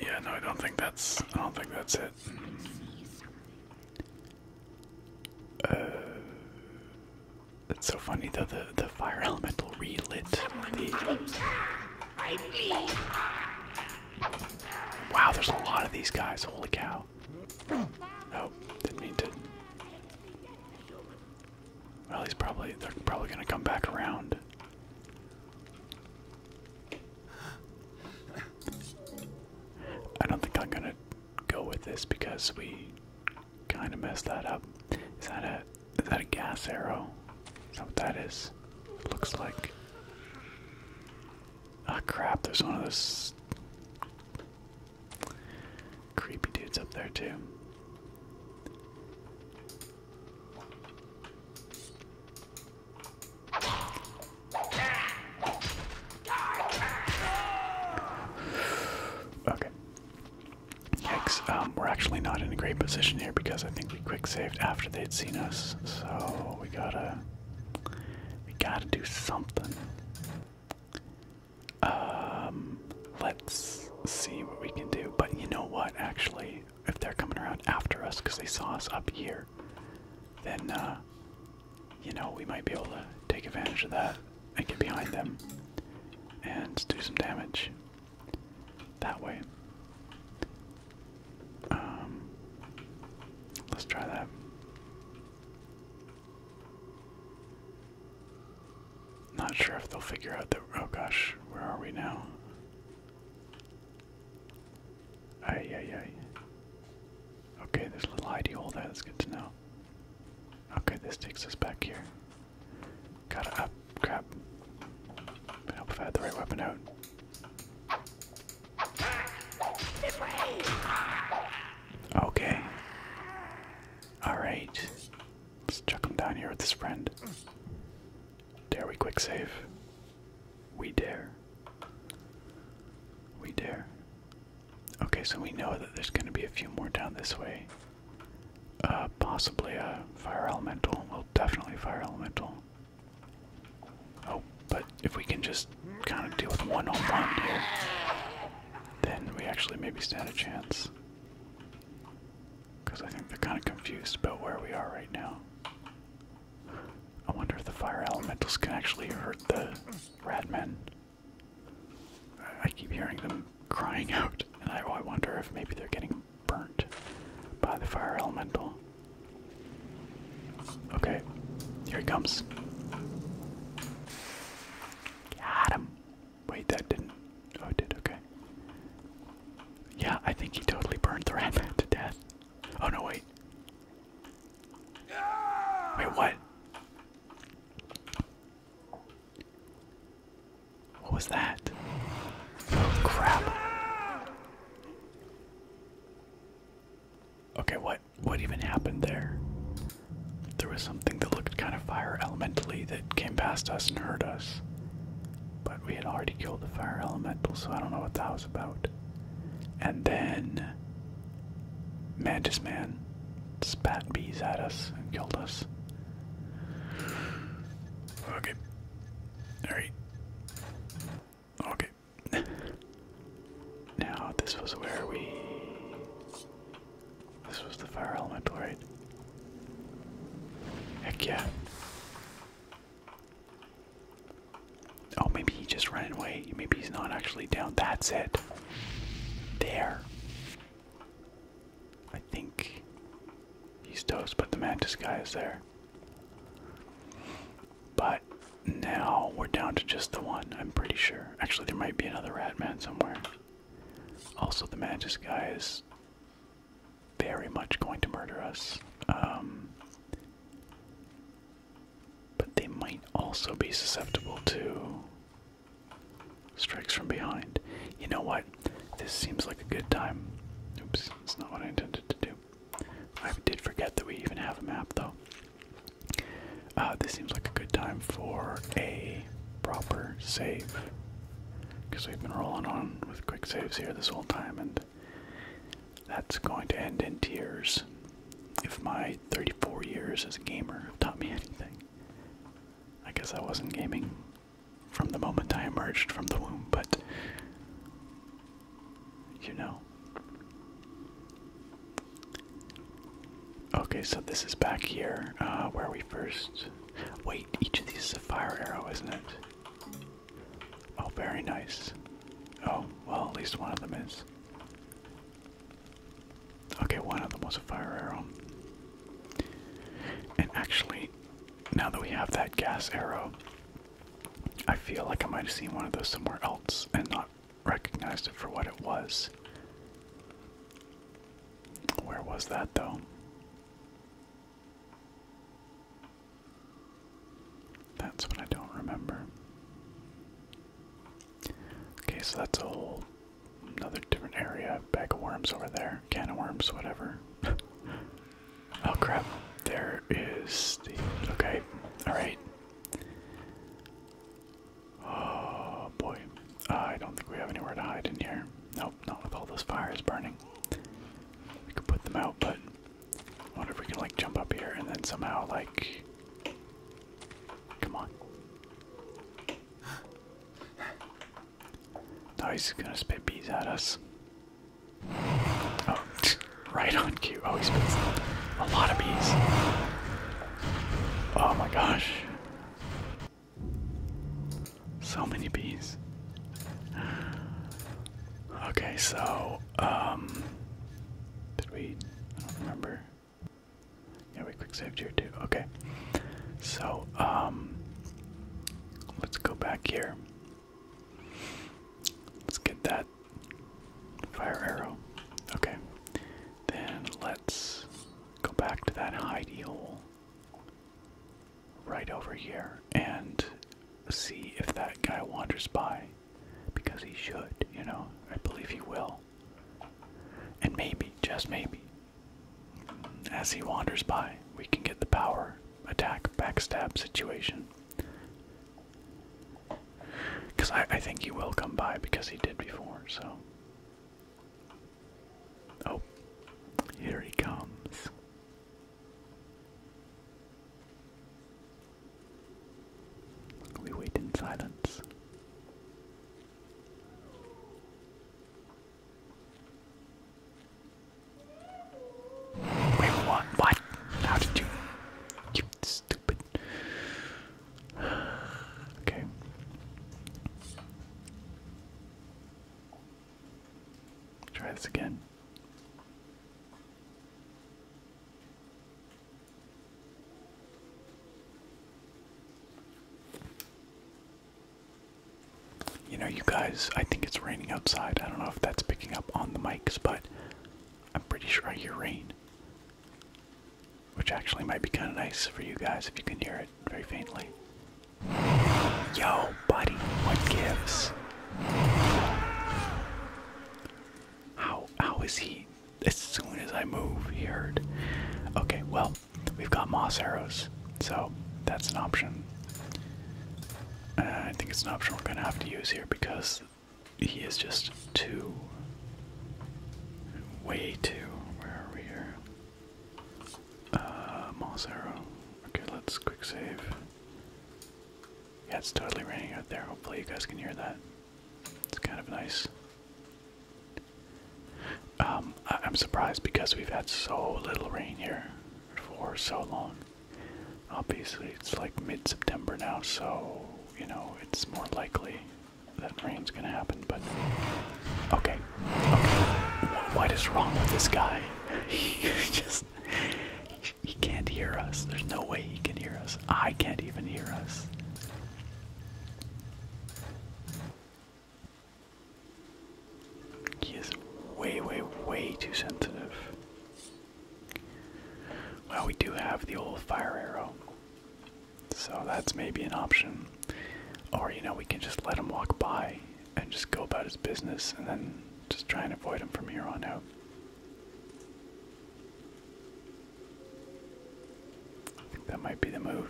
yeah, no, I don't think that's. I don't think that's it. Uh, it's so funny though. The the fire elemental relit Wow, there's a lot of these guys. Holy cow! Oh, didn't mean to. Well, he's probably. They're probably gonna come back around. I don't think I'm gonna go with this because we kind of messed that up. Is that a is that a gas arrow? Is that what that is? looks like. Ah crap! There's one of those creepy dudes up there too. Okay. Yikes. Um, we're actually not in a great position here because I think we quick saved after they'd seen us. So we gotta. We gotta do something. Um, let's see what we can do. But you know what, actually? if they're coming around after us because they saw us up here, then uh, you know we might be able to take advantage of that and get behind them and do some damage that way. Um, let's try that. Not sure if they'll figure out that. Oh gosh, where are we now? Ay, ay, ay. Okay, there's a little hidey hole there, that's good to know. Okay, this takes us back here. got it up, crap. Would help if I had the right weapon out. This way. Okay. Alright. Let's chuck him down here with his friend. Dare we quick save? We dare. We dare. Okay, so we know that there's going to be a few more down this way. Uh, possibly a fire elemental. We'll definitely fire elemental. Oh, but if we can just kind of deal with one on one here, then we actually maybe stand a chance. Because I think they're kind of confused about where we are right now. I wonder if the fire elementals can actually hurt the ratmen. I keep hearing them crying out, and I, wonder if maybe they're getting burnt by the fire elemental. Okay, here he comes. Got him. Wait, that didn't. Oh, it did, okay. Yeah, I think he totally burned the ratman to death. Oh no, wait. Wait, what? What was that? Oh crap. Okay, what what even happened there? There was something that looked kind of fire elementally that came past us and hurt us. But we had already killed the fire elemental, so I don't know what that was about. And then Mantis Man spat bees at us and killed us. Okay. Alright. Okay. now, this was where we. This was the fire elemental, right? Heck yeah. Oh, maybe he just ran away. Maybe he's not actually down. That's it. There. I think he's toast, but the mantis guy is there. But now we're down to just the one, I'm pretty sure. Actually, there might be another rat man somewhere. Also, the mantis guy is very much going to murder us. Um, but they might also be susceptible to strikes from behind. You know what? This seems like a good time. Oops, that's not what I intended to do. I did forget that we even have a map, though. Uh, this seems like a good time for a proper save. Because we've been rolling on with quick saves here this whole time, and that's going to end in tears if my 34 years as a gamer have taught me anything. I guess I wasn't gaming from the moment I emerged from the womb, but you know. Okay, so this is back here uh, where we first. Wait, each of these is a fire arrow, isn't it? Oh, very nice. Oh, well, at least one of them is. Okay, one of them was a fire arrow. And actually, now that we have that gas arrow, I feel like I might have seen one of those somewhere else and not recognized it for what it was. Where was that though? That's what I don't remember. Okay, so that's a whole another different area. Bag of worms over there. Can of worms, whatever. oh crap. There is the. Okay, alright. Oh boy. I don't think we have anywhere to hide in here. Nope, not with all those fires burning. We could put them out, but I wonder if we can like jump up here and then somehow like come on. Now he's gonna spit bees at us. Oh, right on cue. Oh, he spits a lot of bees. Oh my gosh. So many bees. Okay, so, um, did we, I don't remember. Yeah, we quick saved here too. Okay, so, um, let's go back here. Let's get that fire arrow. Okay, then let's go back to that hidey hole right over here and see if that guy wanders by because he should, you know. I believe he will. And maybe, just maybe, as he wanders by, we can get the power attack backstab situation. Because I, think he will come by because he did before, so. Oh, here he comes. We wait in silence. Wait, what? What? How did you? You stupid. Okay. Try this again. You know, you guys, I think it's raining outside. I don't know if that's picking up on the mics, but I'm pretty sure I hear rain. Which actually might be kind of nice for you guys if you can hear it very faintly. Yo, buddy, what gives? How how is he? As soon as I move, he heard. Okay, well, we've got moss arrows, so that's an option. Uh, I think it's an option we're gonna have to use here because he is just too. Way too. Where are we here? Uh, moss arrow. Okay, let's quick save. Yeah, it's totally raining out there. Hopefully, you guys can hear that. It's kind of nice. Um, I am surprised because we've had so little rain here for so long. Obviously, it's like mid September now, so you know, it's more likely that rain's gonna happen, but okay. Okay. What is wrong with this guy? he just he can't hear us. There's no way he can hear us. I can't even hear us. He is way, way, way too sensitive. Well, we do have the old fire arrow. So that's maybe an option. Or, you know, we can just let him walk by and just go about his business and then just try and avoid him from here on out. I think that might be the move.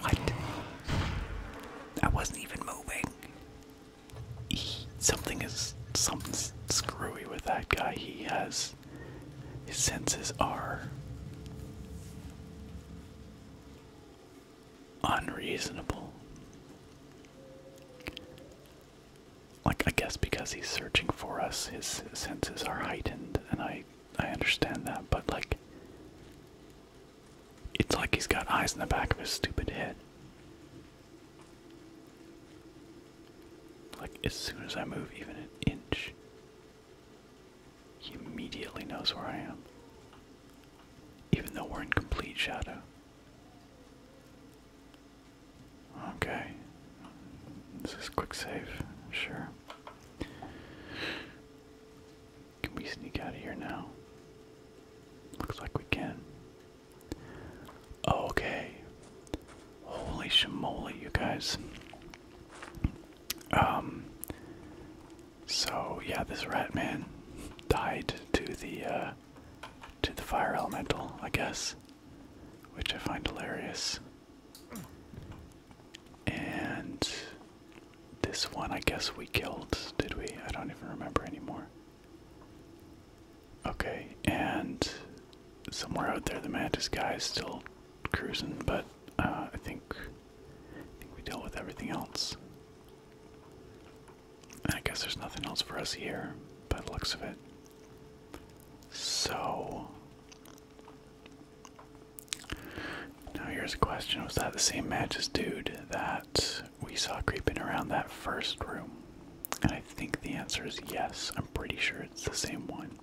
What? I wasn't even moving. something is something's screwy with that guy. He has his senses are unreasonable. Like, I guess because he's searching for us, his senses are heightened, and I, I understand that, but like, it's like he's got eyes in the back of his stupid head. Like, as soon as I move even an inch, he immediately knows where I am, even though we're in complete shadow. Okay. This is quick save, sure. Can we sneak out of here now? Looks like we can. Okay. Holy shamoly, you guys. Um, so yeah, this rat man died to the uh, to the fire elemental, I guess, which I find hilarious. And this one, I guess we killed, did we? I don't even remember anymore. Okay, and somewhere out there, the mantis guy is still cruising, but uh, I think we dealt with everything else. I guess there's nothing else for us here by the looks of it. So now here's a question. Was that the same match dude that we saw creeping around that first room? And I think the answer is yes. I'm pretty sure it's the same one.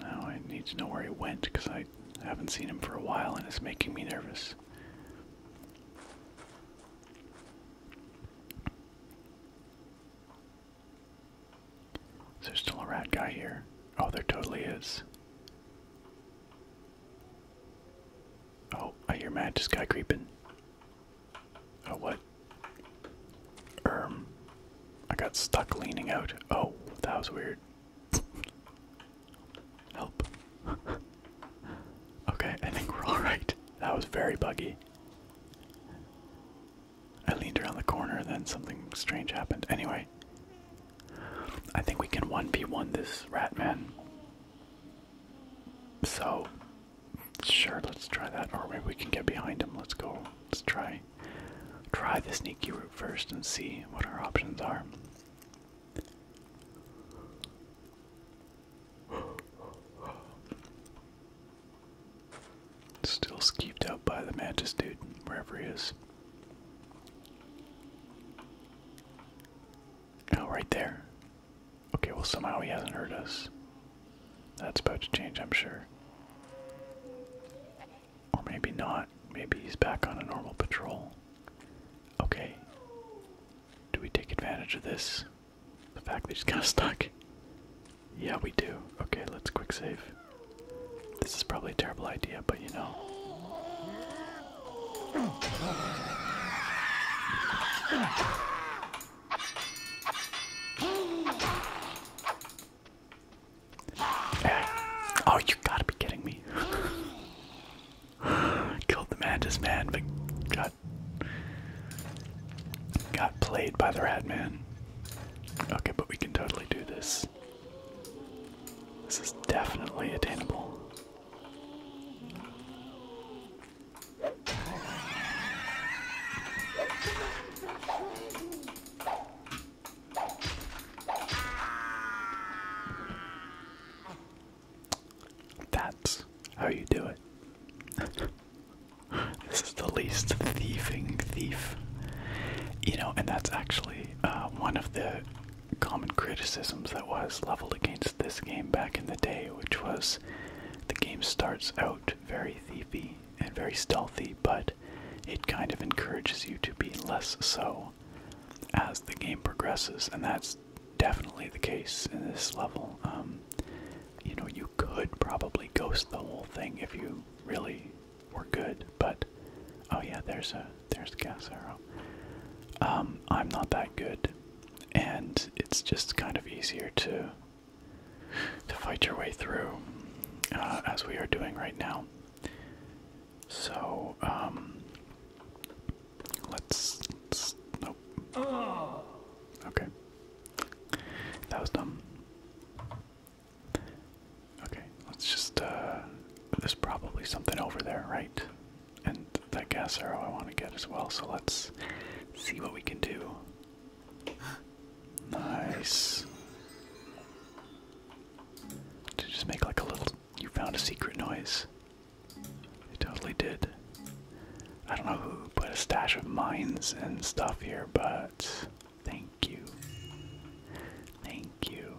Now I need to know where he went because I haven't seen him for a while and it's making me nervous. Is there still a rat guy here? Oh, there totally is. Oh, I hear Matt just guy creeping. Oh, what? Um, I got stuck leaning out. Oh, that was weird. Help. okay, I think we're alright. That was very buggy. I leaned around the corner, then something strange happened. Anyway, I think we can 1v1 this rat man. So, sure, let's try that. Or maybe we can get behind him. Let's go. Let's try try the sneaky route first and see what our options are. Still skeeved out by the mantis dude, wherever he is. Oh, right there. Okay, well, somehow he hasn't heard us. That's about to change, I'm sure. Or maybe not. Maybe he's back on a normal patrol. Okay. Do we take advantage of this? The fact that he's kind of stuck? Yeah, we do. Okay, let's quick save. This is probably a terrible idea, but you know. Oh, you gotta be kidding me. Killed the mantis man, but got got played by the rat man. Okay, but we can totally do this. This is definitely attainable. That's how you do it. this is the least thieving thief. You know, and that's actually uh, one of the common criticisms that was leveled against this game back in the day, which was the game starts out very thiefy and very stealthy, but it kind of encourages you to be less so as the game progresses, and that's definitely the case in this level. Um, you know, you could probably ghost the whole thing if you really were good, but oh yeah, there's a there's the gas arrow. Um, I'm not that good, and it's just kind of easier to to fight your way through, uh, as we are doing right now. So, um, let's. let nope. Oh. Okay. That was dumb. Okay, let's just. Uh, there's probably something over there, right? And that gas arrow I want to get as well, so let's see what we can do. Nice. To just make like a little. You found a secret noise. It totally did. I don't know who put a stash of mines and stuff here, but thank you. Thank you.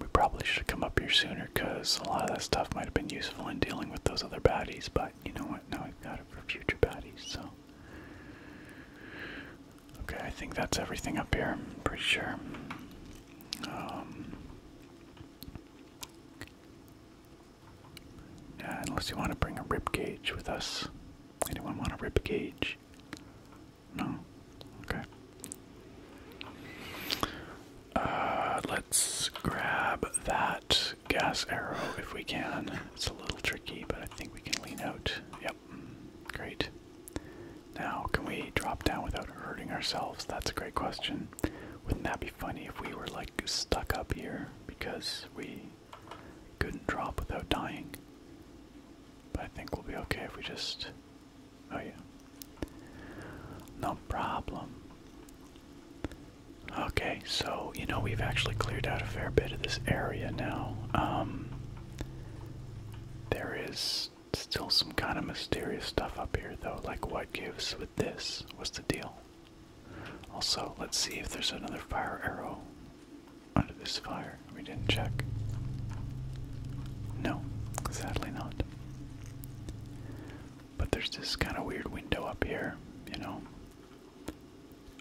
We probably should come up here sooner because a lot of that stuff might have been useful in dealing with those other baddies, but you know what? Now we have got it for future baddies, so. Okay, I think that's everything up here. I'm pretty sure. Um, yeah, unless you want to bring a rib cage with us. Anyone want a rib cage? No. Okay. Uh, let's grab that gas arrow if we can. It's a little tricky, but I think we can lean out. Yeah, Great. Now, can we drop down without hurting ourselves? That's a great question. Wouldn't that be funny if we were like stuck up here because we couldn't drop without dying? But I think we'll be okay if we just. Oh, yeah. No problem. Okay, so, you know, we've actually cleared out a fair bit of this area now. Um, there is still some kind of mysterious stuff up here, though. Like, what gives with this? What's the deal? Also, let's see if there's another fire arrow under this fire. We didn't check. No, sadly not. But there's this kind of weird window up here, you know,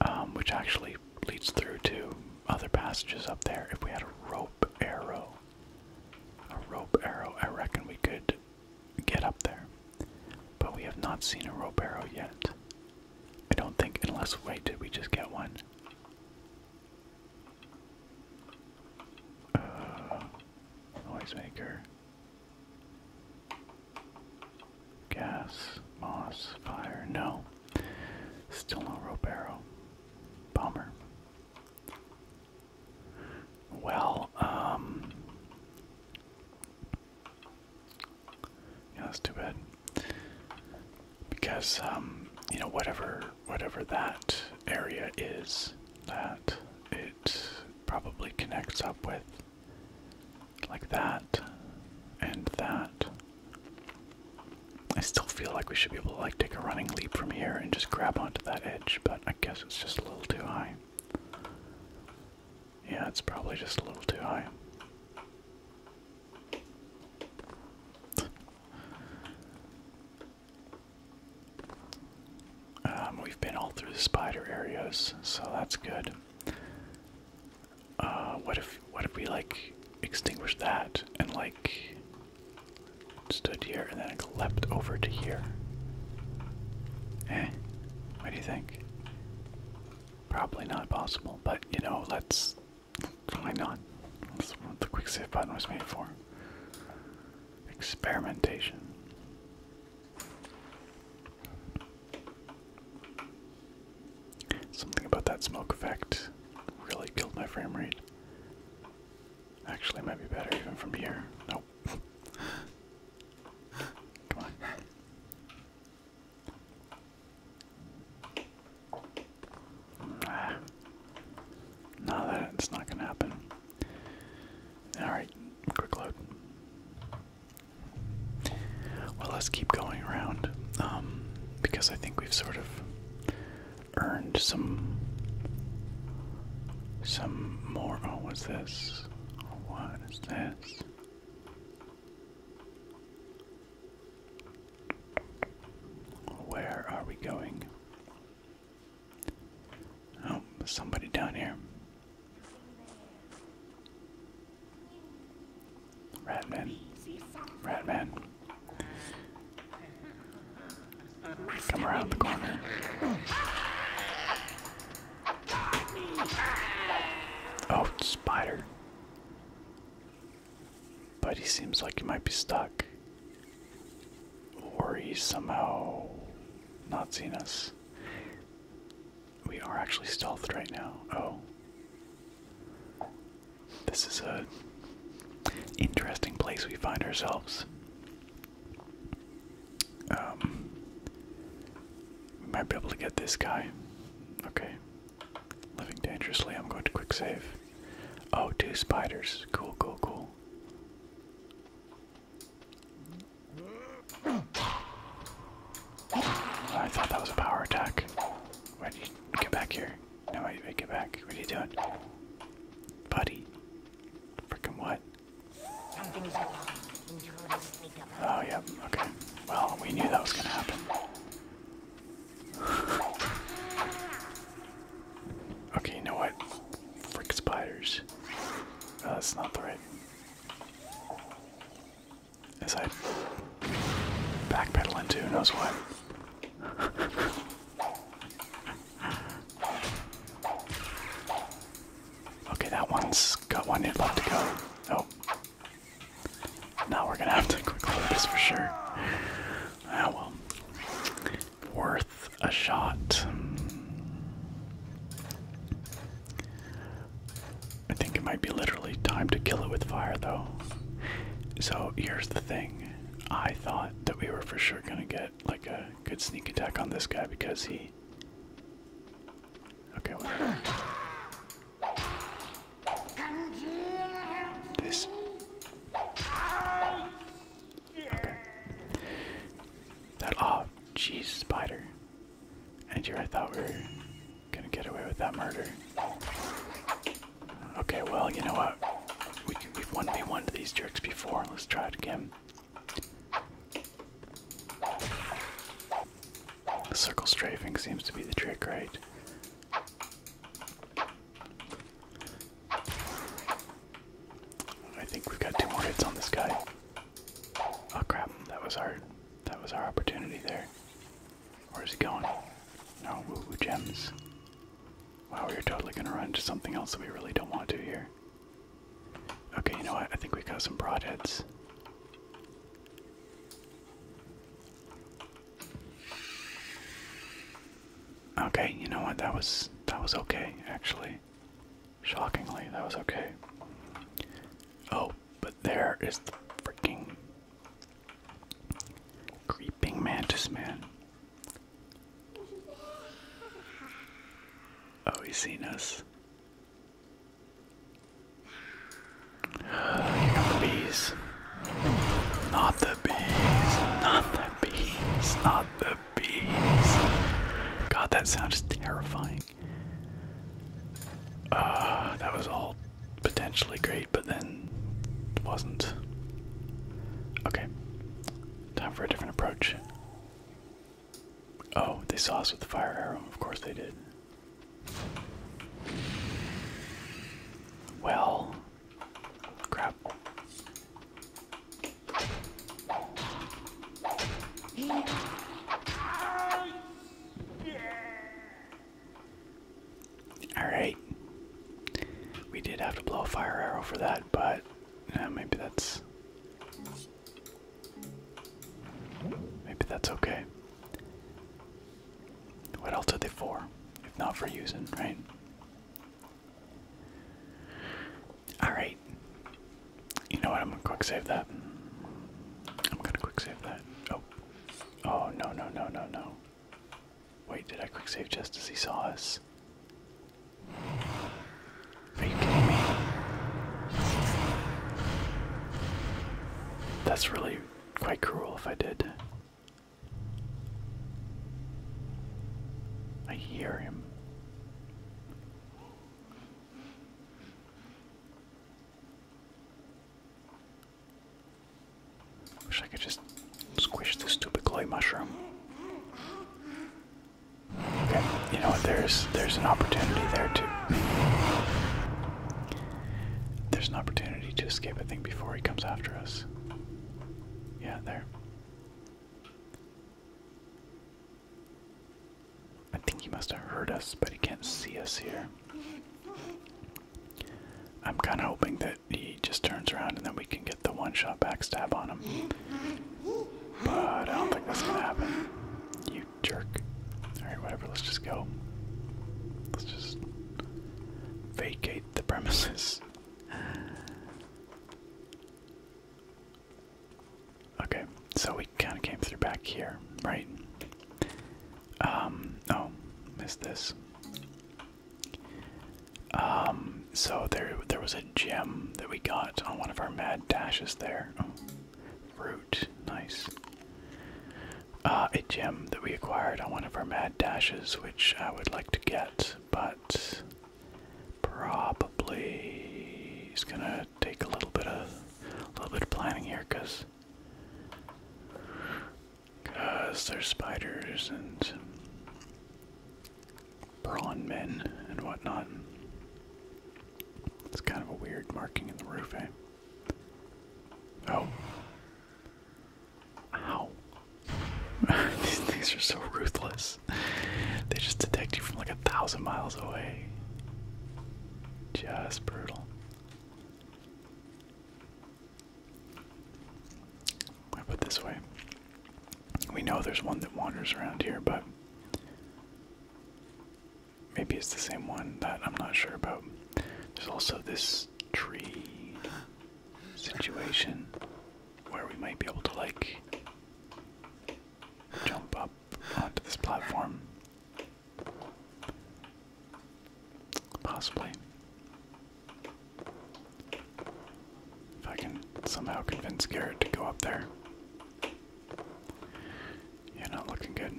um, which actually leads through to other passages up there. If we had a rope arrow, a rope arrow, I reckon we could get up there. But we have not seen a rope arrow yet. I don't think, unless, wait, did we just get one? Uh, noisemaker. Gas, moss, fire, no. Still no Robero. Bummer. Well, um. Yeah, that's too bad. Because, um, you know, whatever, whatever that area is, that it probably connects up with, like that, and that, I still feel like we should be able to like take a running leap from here and just grab onto that edge, but I guess it's just a little too high. Yeah, it's probably just a little too high. Um, we've been all through the spider areas, so that's good uh, what if what if we like extinguish that and like stood here and then like, leapt over to here? Eh? What do you think? Probably not possible, but you know, let's try not? That's what the quick save button was made for. Experimentation. Something about that smoke effect really killed my frame rate. Actually, might be better even from here. No, Come on. Ah. No, that's not gonna happen. Alright, quick load. Well, let's keep going around, um, because I think we've sort of earned some some more oh what's this? What is this? Where are we going? Oh, somebody down here. Ratman. Ratman. Come around the corner. Oh, spider. But he seems like he might be stuck. Or he's somehow not seen us. We are actually stealthed right now. Oh. This is a interesting place we find ourselves. Um, we might be able to get this guy. Okay. Living dangerously. I'm going to quick save. Oh, two spiders. Cool, cool, cool. I thought that was a power attack. Why did you get back here? No, wait, wait, it back. What are you doing? Buddy. Freaking what? Oh, yeah. okay. Well, we knew that was gonna happen. okay, you know what? Frick spiders. Oh, that's not the right. As I backpedal into knows what okay, that one's got one hit left to go. Oh. Now we're gonna have to quick load this for sure. Ah, well. Worth a shot. I think it might be literally time to kill it with fire, though. So here's the thing I thought that we were for sure gonna get like a good sneak attack on this guy because he. Okay, This. That. Oh, jeez, spider. And here I thought we were gonna get away with that murder. Okay, well, you know what? We have won, 1v1 to these jerks before. Let's try it again. circle strafing seems to be the trick, right? I think we've got two more hits on this guy. Oh crap, that was our that was our opportunity there. Where's he going? No, woo woo gems. Wow, we're totally gonna run into something else that we really don't want to here. Okay, you know what? I think we got some broadheads. Okay, you know what? That was that was okay, actually. Shockingly, that was okay. Oh, but there is the freaking Creeping mantis man. Oh, he's seen us. the bees. Not the bees. Not the bees. Not the bees. God, that sounds is terrifying. Uh, that was all potentially great, but then wasn't. Okay. Time for a different approach. Oh, they saw us with the fire arrow. Of course they did. Well, crap. Alright. We did have to blow a fire arrow for that, but uh, maybe that's. Maybe that's okay. What else are they for? If not for using, right? Alright. You know what? I'm gonna quick save that. I'm gonna quick save that. Oh. Oh, no, no, no, no, no. Wait, did I quick save just as he saw us? Are you kidding me? That's really quite cruel if I did. I hear him. Wish I could just squish this stupid clay mushroom. Okay, you know what? There's there's an opportunity there too. There's an opportunity to escape. I think before he comes after us. Yeah, there. I think he must have heard us, but he can't see us here. I'm kind of hoping that he just turns around and then we can get the one shot backstab on him. But I don't think that's gonna happen. You jerk. Alright, whatever, let's just go. Let's just vacate the premises. Okay, so we kind of came through back here, right? Um, oh, missed this. Um, so there there was a gem that we got on one of our mad dashes there. Oh, fruit, nice. Uh, a gem that we acquired on one of our mad dashes, which I would like to get, but probably it's gonna take a little bit of a little bit of planning here, cause because they they're spiders and prawn men and whatnot. It's kind of a weird marking in the roof, eh? Oh. Ow. These things are so ruthless. They just detect you from like a thousand miles away. Just brutal. I put this way. We know there's one that wanders around here, but maybe it's the same one that I'm not sure about. There's also this tree situation where we might be able to, like, jump up onto this platform. Possibly. If I can somehow convince Garrett to go up there. Yeah, not looking good.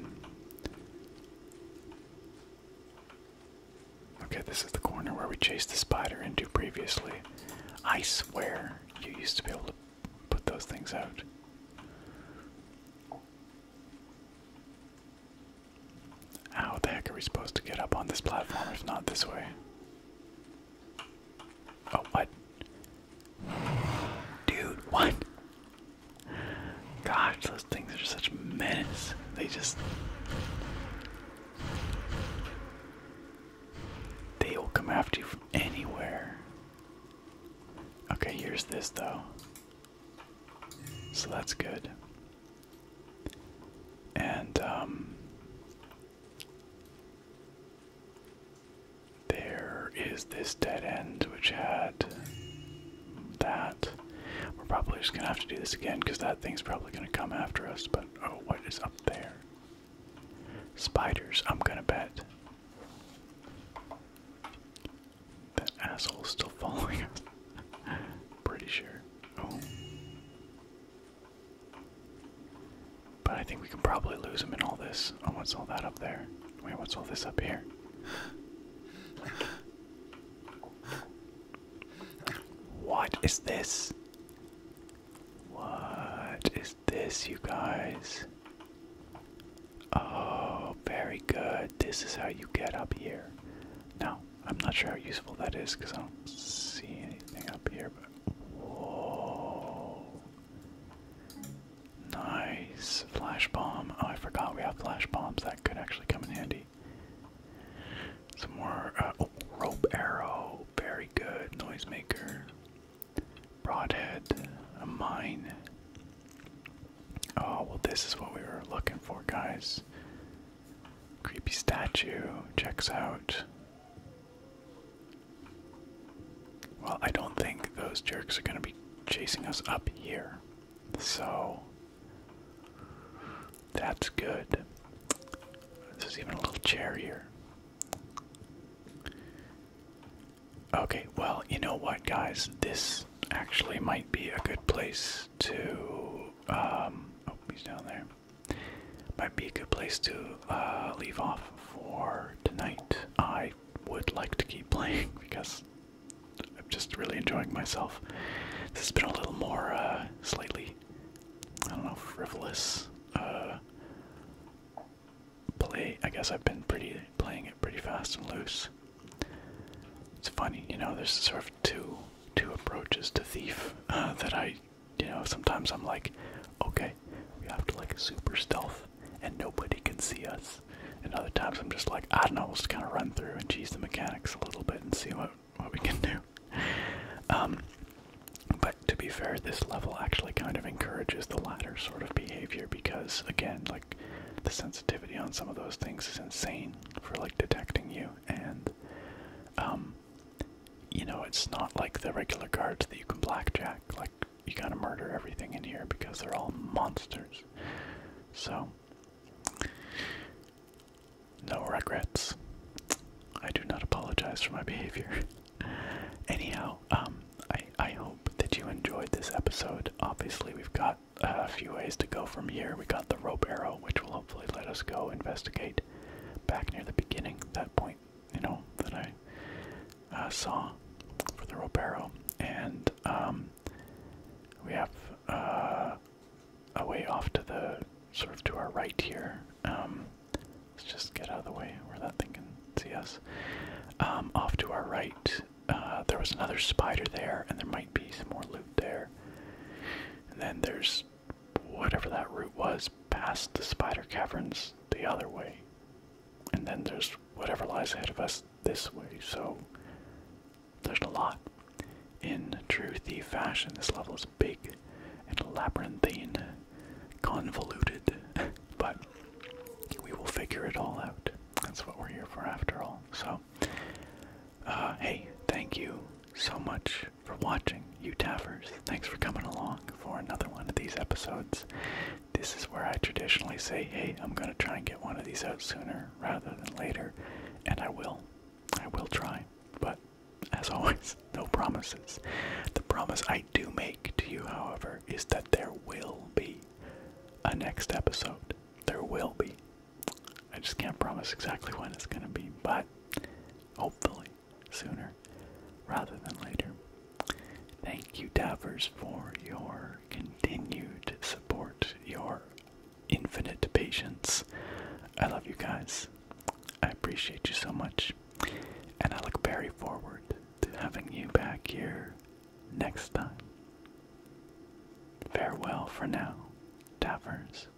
Okay, this is the corner where we chased the spider into previously. I swear you used to be able to put those things out. How the heck are we supposed to get up on this platform if not this way? Oh, what? Dude, what? Gosh, those things are such menace. They just. They will come after you from anywhere. Okay, here's this though. So that's good. And um, there is this dead end which had that. We're probably just gonna have to do this again because that thing's probably gonna come after us. But oh, what is up there? Spiders, I'm gonna bet. That asshole's still following us. Pretty sure. Oh. But I think we can probably lose him in all this. Oh, what's all that up there? Wait, what's all this up here? What is this? What is this, you guys? Oh, very good. This is how you get up here. Now, I'm not sure how useful that is because I don't see anything up here. But whoa, nice flash bomb! Oh, I forgot we have flash bombs. That could actually come in handy. Some more uh, oh, rope arrow, very good. Noisemaker, broadhead, a mine. Oh well, this is what we were looking for, guys. Creepy statue checks out. Well, I don't think those jerks are going to be chasing us up here. So that's good. This is even a little chair here. Okay, well, you know what, guys? This actually might be a good place to. Um, oh, he's down there might be a good place to uh, leave off for tonight. I would like to keep playing because I'm just really enjoying myself. This has been a little more uh, slightly, I don't know, frivolous uh, play. I guess I've been pretty playing it pretty fast and loose. It's funny, you know. There's sort of two two approaches to Thief that I you know, sometimes I'm like, okay, we have to like super stealth and nobody can see us. And other times I'm just like, I don't know, we'll just kind of run through and cheese the mechanics a little bit and see what, what we can do. Um, but to be fair, this level actually kind of encourages the latter sort of behavior because, again, like the sensitivity on some of those things is insane for like detecting you, and um, you know, it's not like the regular cards that you can blackjack. Like, you gotta murder everything in here because they're all monsters. So, no regrets. I do not apologize for my behavior. Anyhow, um, I, I hope that you enjoyed this episode. Obviously, we've got a few ways to go from here. We got the rope arrow, which will hopefully let us go investigate back near the beginning, that point, you know, that I uh, saw for the Robero. And um, we have uh, a way off to the sort of to our right here. Um, let's just get out of the way where that thing can see us. Um, off to our right, uh, there was another spider there, and there might be some more loot there. And then there's whatever that route was past the spider caverns the other way. And then there's whatever lies ahead of us this way, so there's a lot. In true thief fashion, this level is big and labyrinthine, convoluted, but we will figure it all out. That's what we're here for after all. So, uh, hey, thank you so much for watching, you Taffers. Thanks for coming along for another one of these episodes. This is where I traditionally say, hey, I'm going to try and get one of these out sooner rather than later, and I will. I will try, but as always, no promises. The promise I do make to you, however, is that there will be a next episode. There will be. I just can't promise exactly when it's going to be, but hopefully sooner rather than later. Thank you, Davers, for your continued support, your infinite patience. I love you guys. I appreciate you so much. And I look very forward to having you back here next time. Farewell for now, Davers.